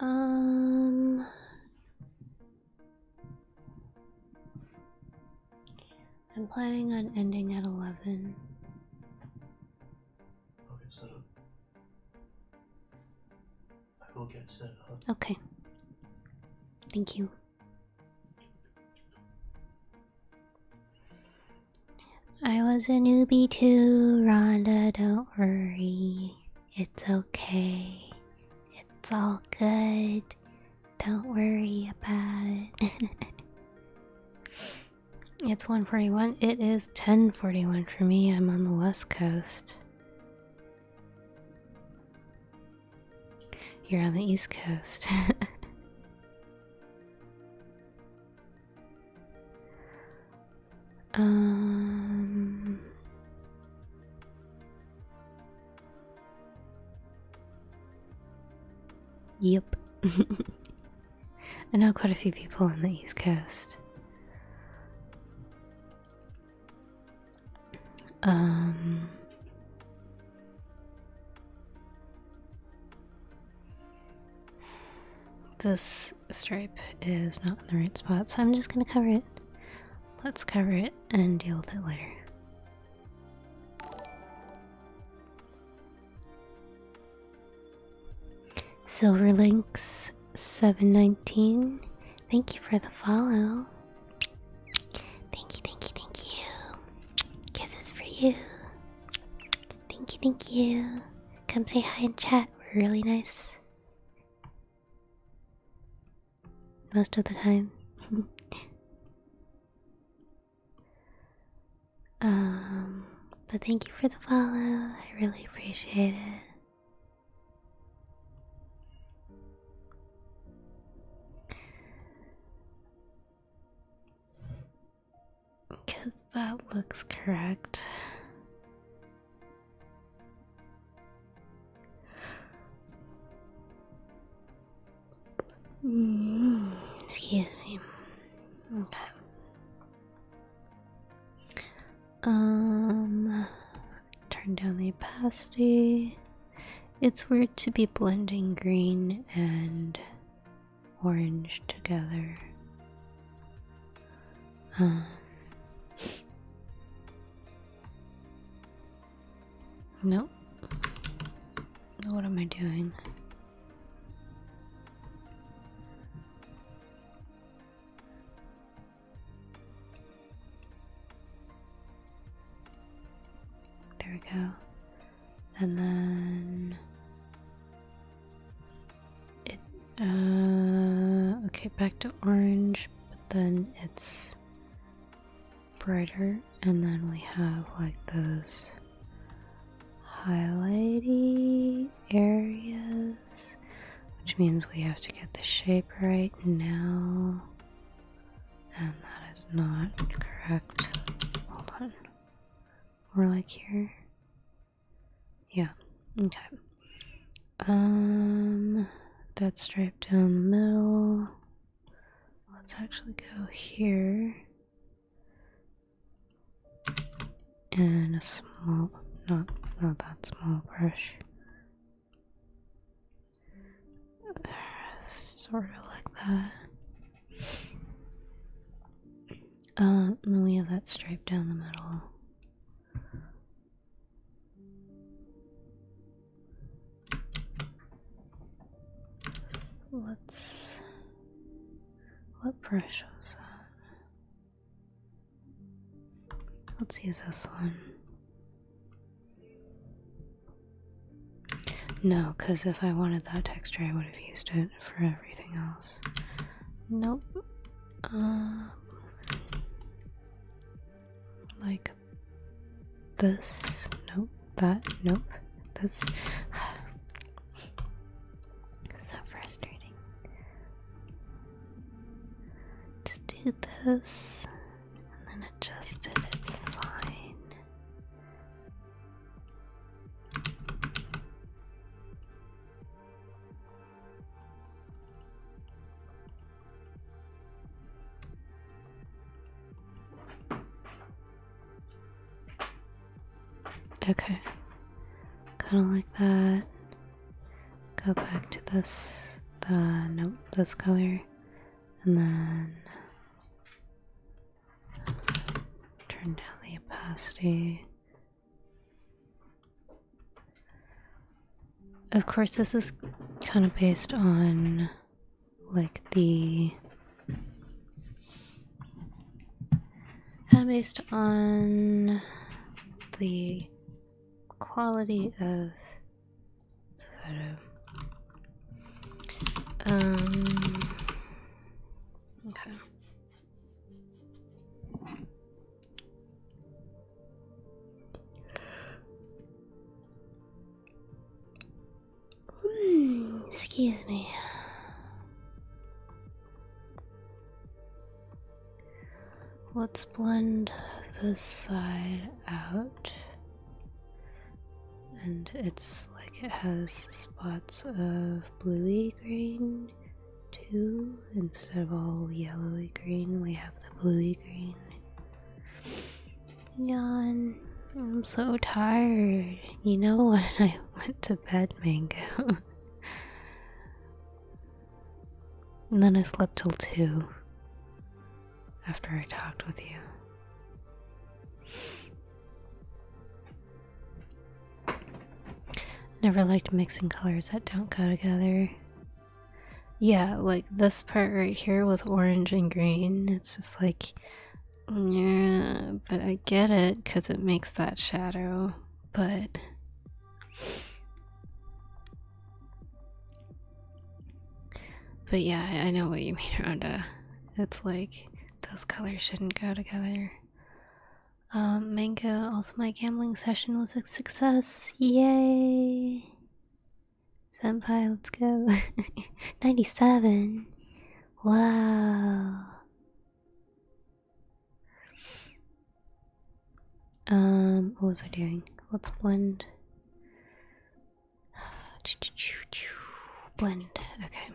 Um I'm planning on ending at 11. Okay, so I will get set up. Okay. Thank you. I was a newbie too, Rhonda, don't worry. It's okay. It's all good. Don't worry about it. it's 141. It is 1041 for me. I'm on the west coast. You're on the east coast. um Yep. I know quite a few people on the East Coast. Um This stripe is not in the right spot, so I'm just going to cover it. Let's cover it and deal with it later. Silverlinks 719, thank you for the follow. Thank you, thank you, thank you. Kisses for you. Thank you, thank you. Come say hi and chat. Really nice most of the time. um, but thank you for the follow. I really appreciate it. Because that looks correct excuse me. Okay. Um, turn down the opacity. It's weird to be blending green and orange together. Um, no. What am I doing? There we go. And then it uh okay, back to orange, but then it's brighter and then we have like those highlighty areas which means we have to get the shape right now and that is not correct hold on we like here yeah okay um, that stripe down the middle. Let's actually go here. And a small, not, not that small brush. Sort of like that. Uh, and then we have that stripe down the middle. Let's. What brush was that? Let's use this one. No, because if I wanted that texture, I would have used it for everything else. Nope. Uh, like this. Nope. That. Nope. That's so frustrating. Just do this and then adjust it. It's fine. Okay, kind of like that. Go back to this, the uh, nope, this color, and then turn down the opacity. Of course, this is kind of based on like the kind of based on the quality of the photo. Um, okay. Hmm, excuse me. Let's blend this side out. And it's like it has spots of bluey green too. Instead of all yellowy green, we have the bluey green. Yawn. I'm so tired. You know what? I went to bed, Mango. and then I slept till 2 after I talked with you. Never liked mixing colors that don't go together. Yeah, like this part right here with orange and green, it's just like, yeah, but I get it because it makes that shadow, but. But yeah, I know what you mean, Rhonda. It's like those colors shouldn't go together. Um, Mango, also my gambling session was a success. Yay! Senpai, let's go. 97. Wow. Um, what was I doing? Let's blend. blend, okay.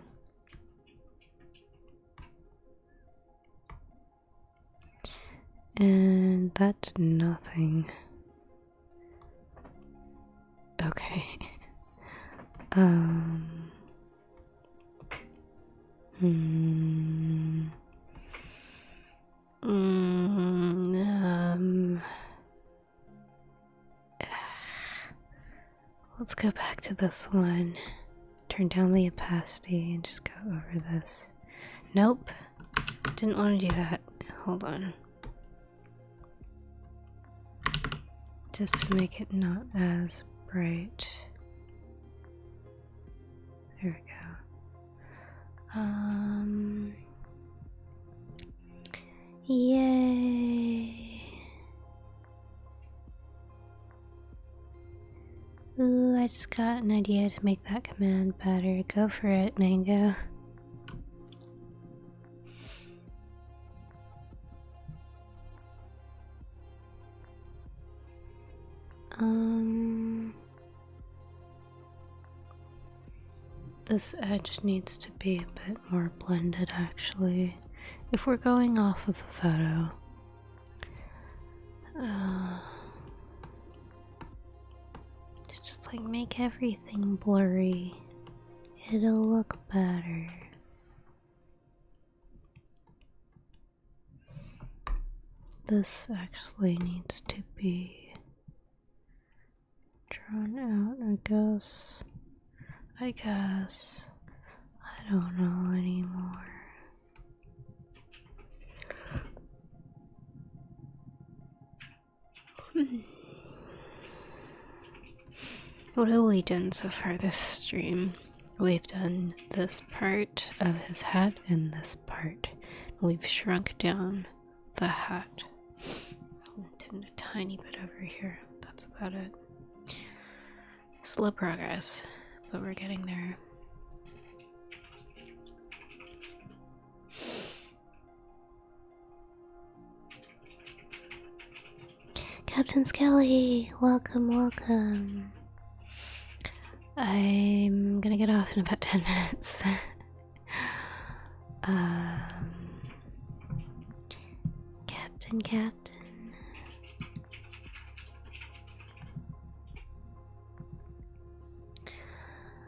And that's nothing. Okay. um. Hmm. Mm, um. Let's go back to this one. Turn down the opacity and just go over this. Nope. Didn't want to do that. Hold on just to make it not as bright. There we go. Um, yay. Ooh, I just got an idea to make that command better. Go for it, Mango. Um, this edge needs to be a bit more blended actually. If we're going off of the photo, uh, it's just like make everything blurry. It'll look better. This actually needs to be drawn out, I guess. I guess. I don't know anymore. what have we done so far this stream? We've done this part of his head and this part. We've shrunk down the hat. Oh, I'll tend a tiny bit over here. That's about it. Slow progress, but we're getting there. Captain Skelly, welcome, welcome. I'm gonna get off in about 10 minutes. Um, Captain, Captain.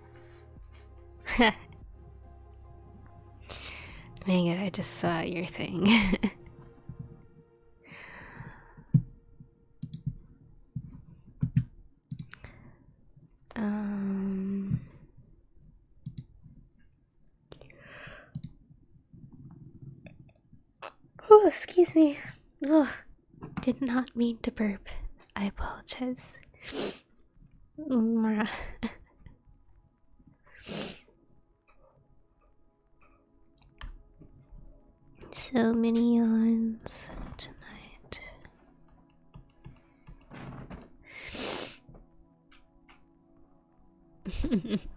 Mega, I just saw your thing. um Oh, excuse me. Ugh. Did not mean to burp. I apologize. Mm, so many yawns tonight.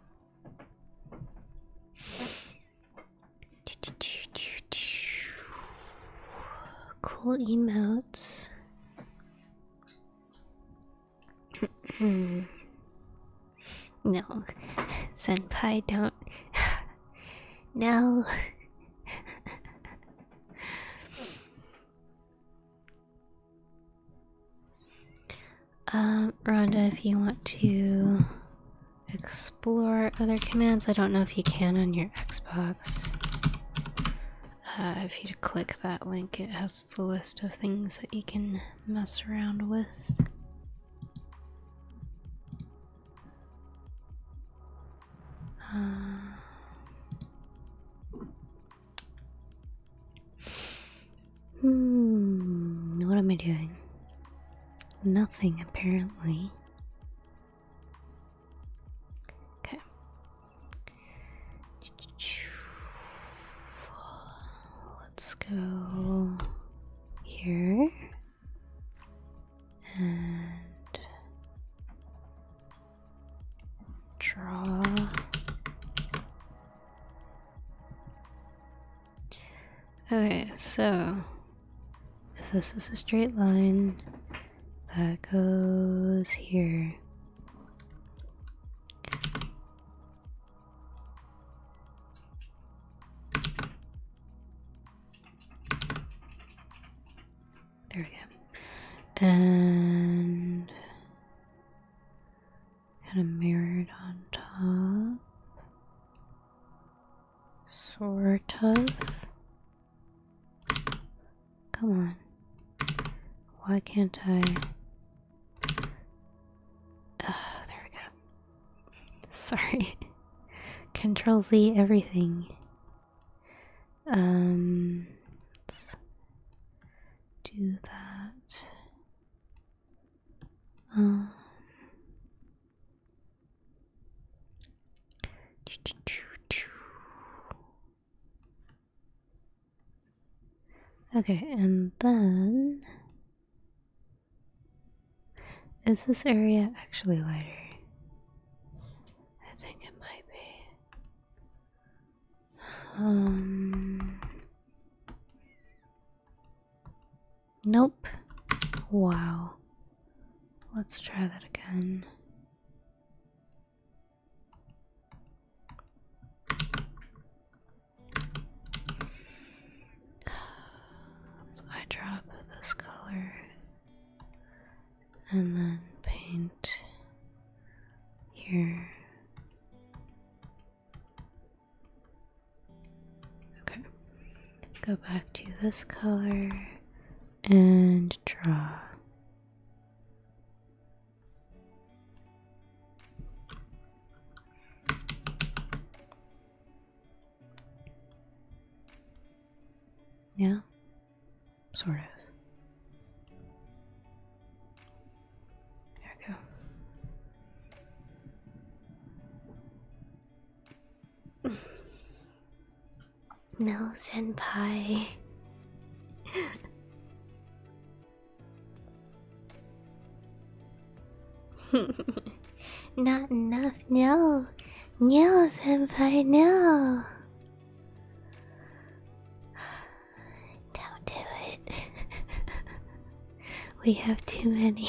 cool emotes. Hmm. no, Senpai, don't. no. Um, Rhonda, if you want to explore other commands, I don't know if you can on your Xbox. Uh, if you click that link, it has the list of things that you can mess around with. Uh, hmm, what am I doing? Nothing apparently. Okay. Let's go here and draw. Okay, so if this is a straight line, that goes here. There we go. And kind of mirrored on top. Sort of. Come on. Why can't I? there we go. Sorry. Control Z everything. Um, do that. Um. Okay, and then is this area actually lighter? I think it might be. Um Nope. Wow. Let's try that again. So I drop this color and then paint here. Okay, go back to this color and draw. Yeah, sort of. There we go. No, senpai. Not enough, no. No, senpai, no. Don't do it. we have too many.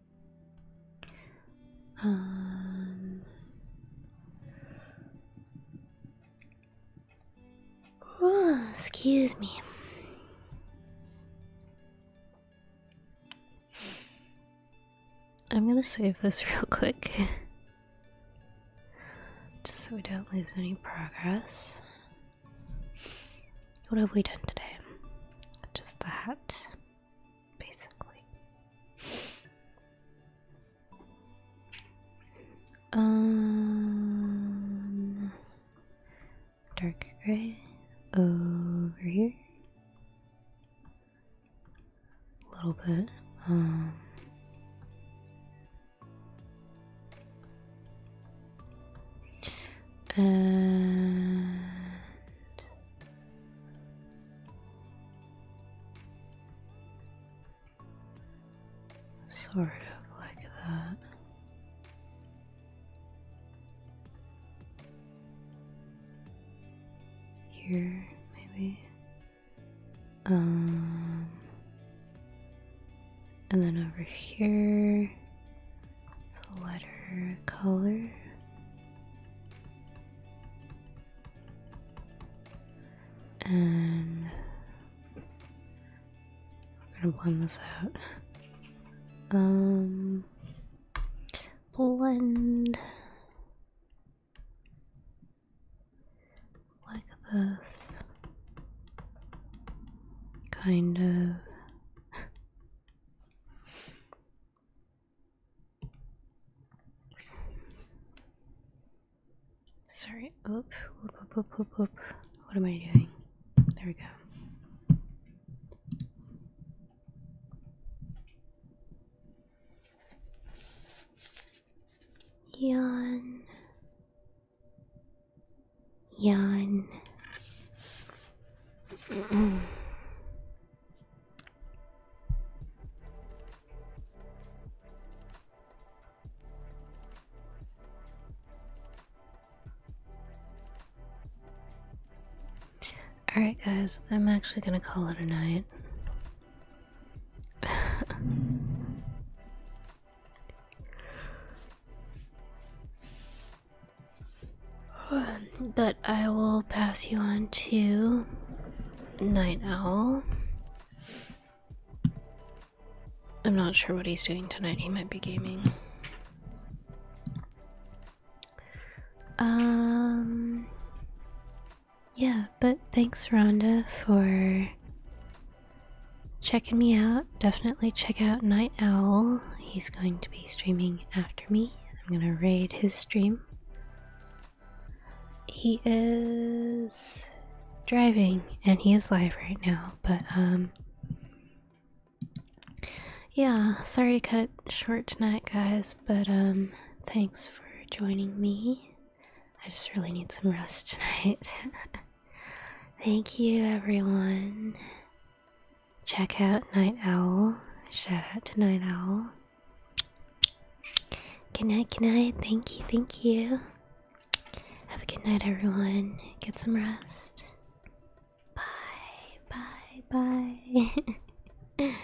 Um, oh, excuse me. I'm gonna save this real quick just so we don't lose any progress. What have we done today? Just that basically. Um, dark gray over here. A little bit. Um, and Sort of like that. Here, maybe. Um, and then over here, it's a lighter color. And we're gonna blend this out. Um, blend like this, kind of. Sorry, oop, oop, oop, oop, oop, What am I doing? There we go. Yawn. Yawn. Alright, guys, I'm actually gonna call it a night. I will pass you on to Night Owl. I'm not sure what he's doing tonight. He might be gaming. Um Yeah, but thanks Rhonda for checking me out. Definitely check out Night Owl. He's going to be streaming after me. I'm going to raid his stream. He is driving and he is live right now, but um yeah, sorry to cut it short tonight guys, but um thanks for joining me. I just really need some rest tonight. Thank you everyone. Check out Night Owl. Shout out to Night Owl. Good night, good night. Thank you, thank you. Have a good night, everyone. Get some rest. Bye, bye, bye.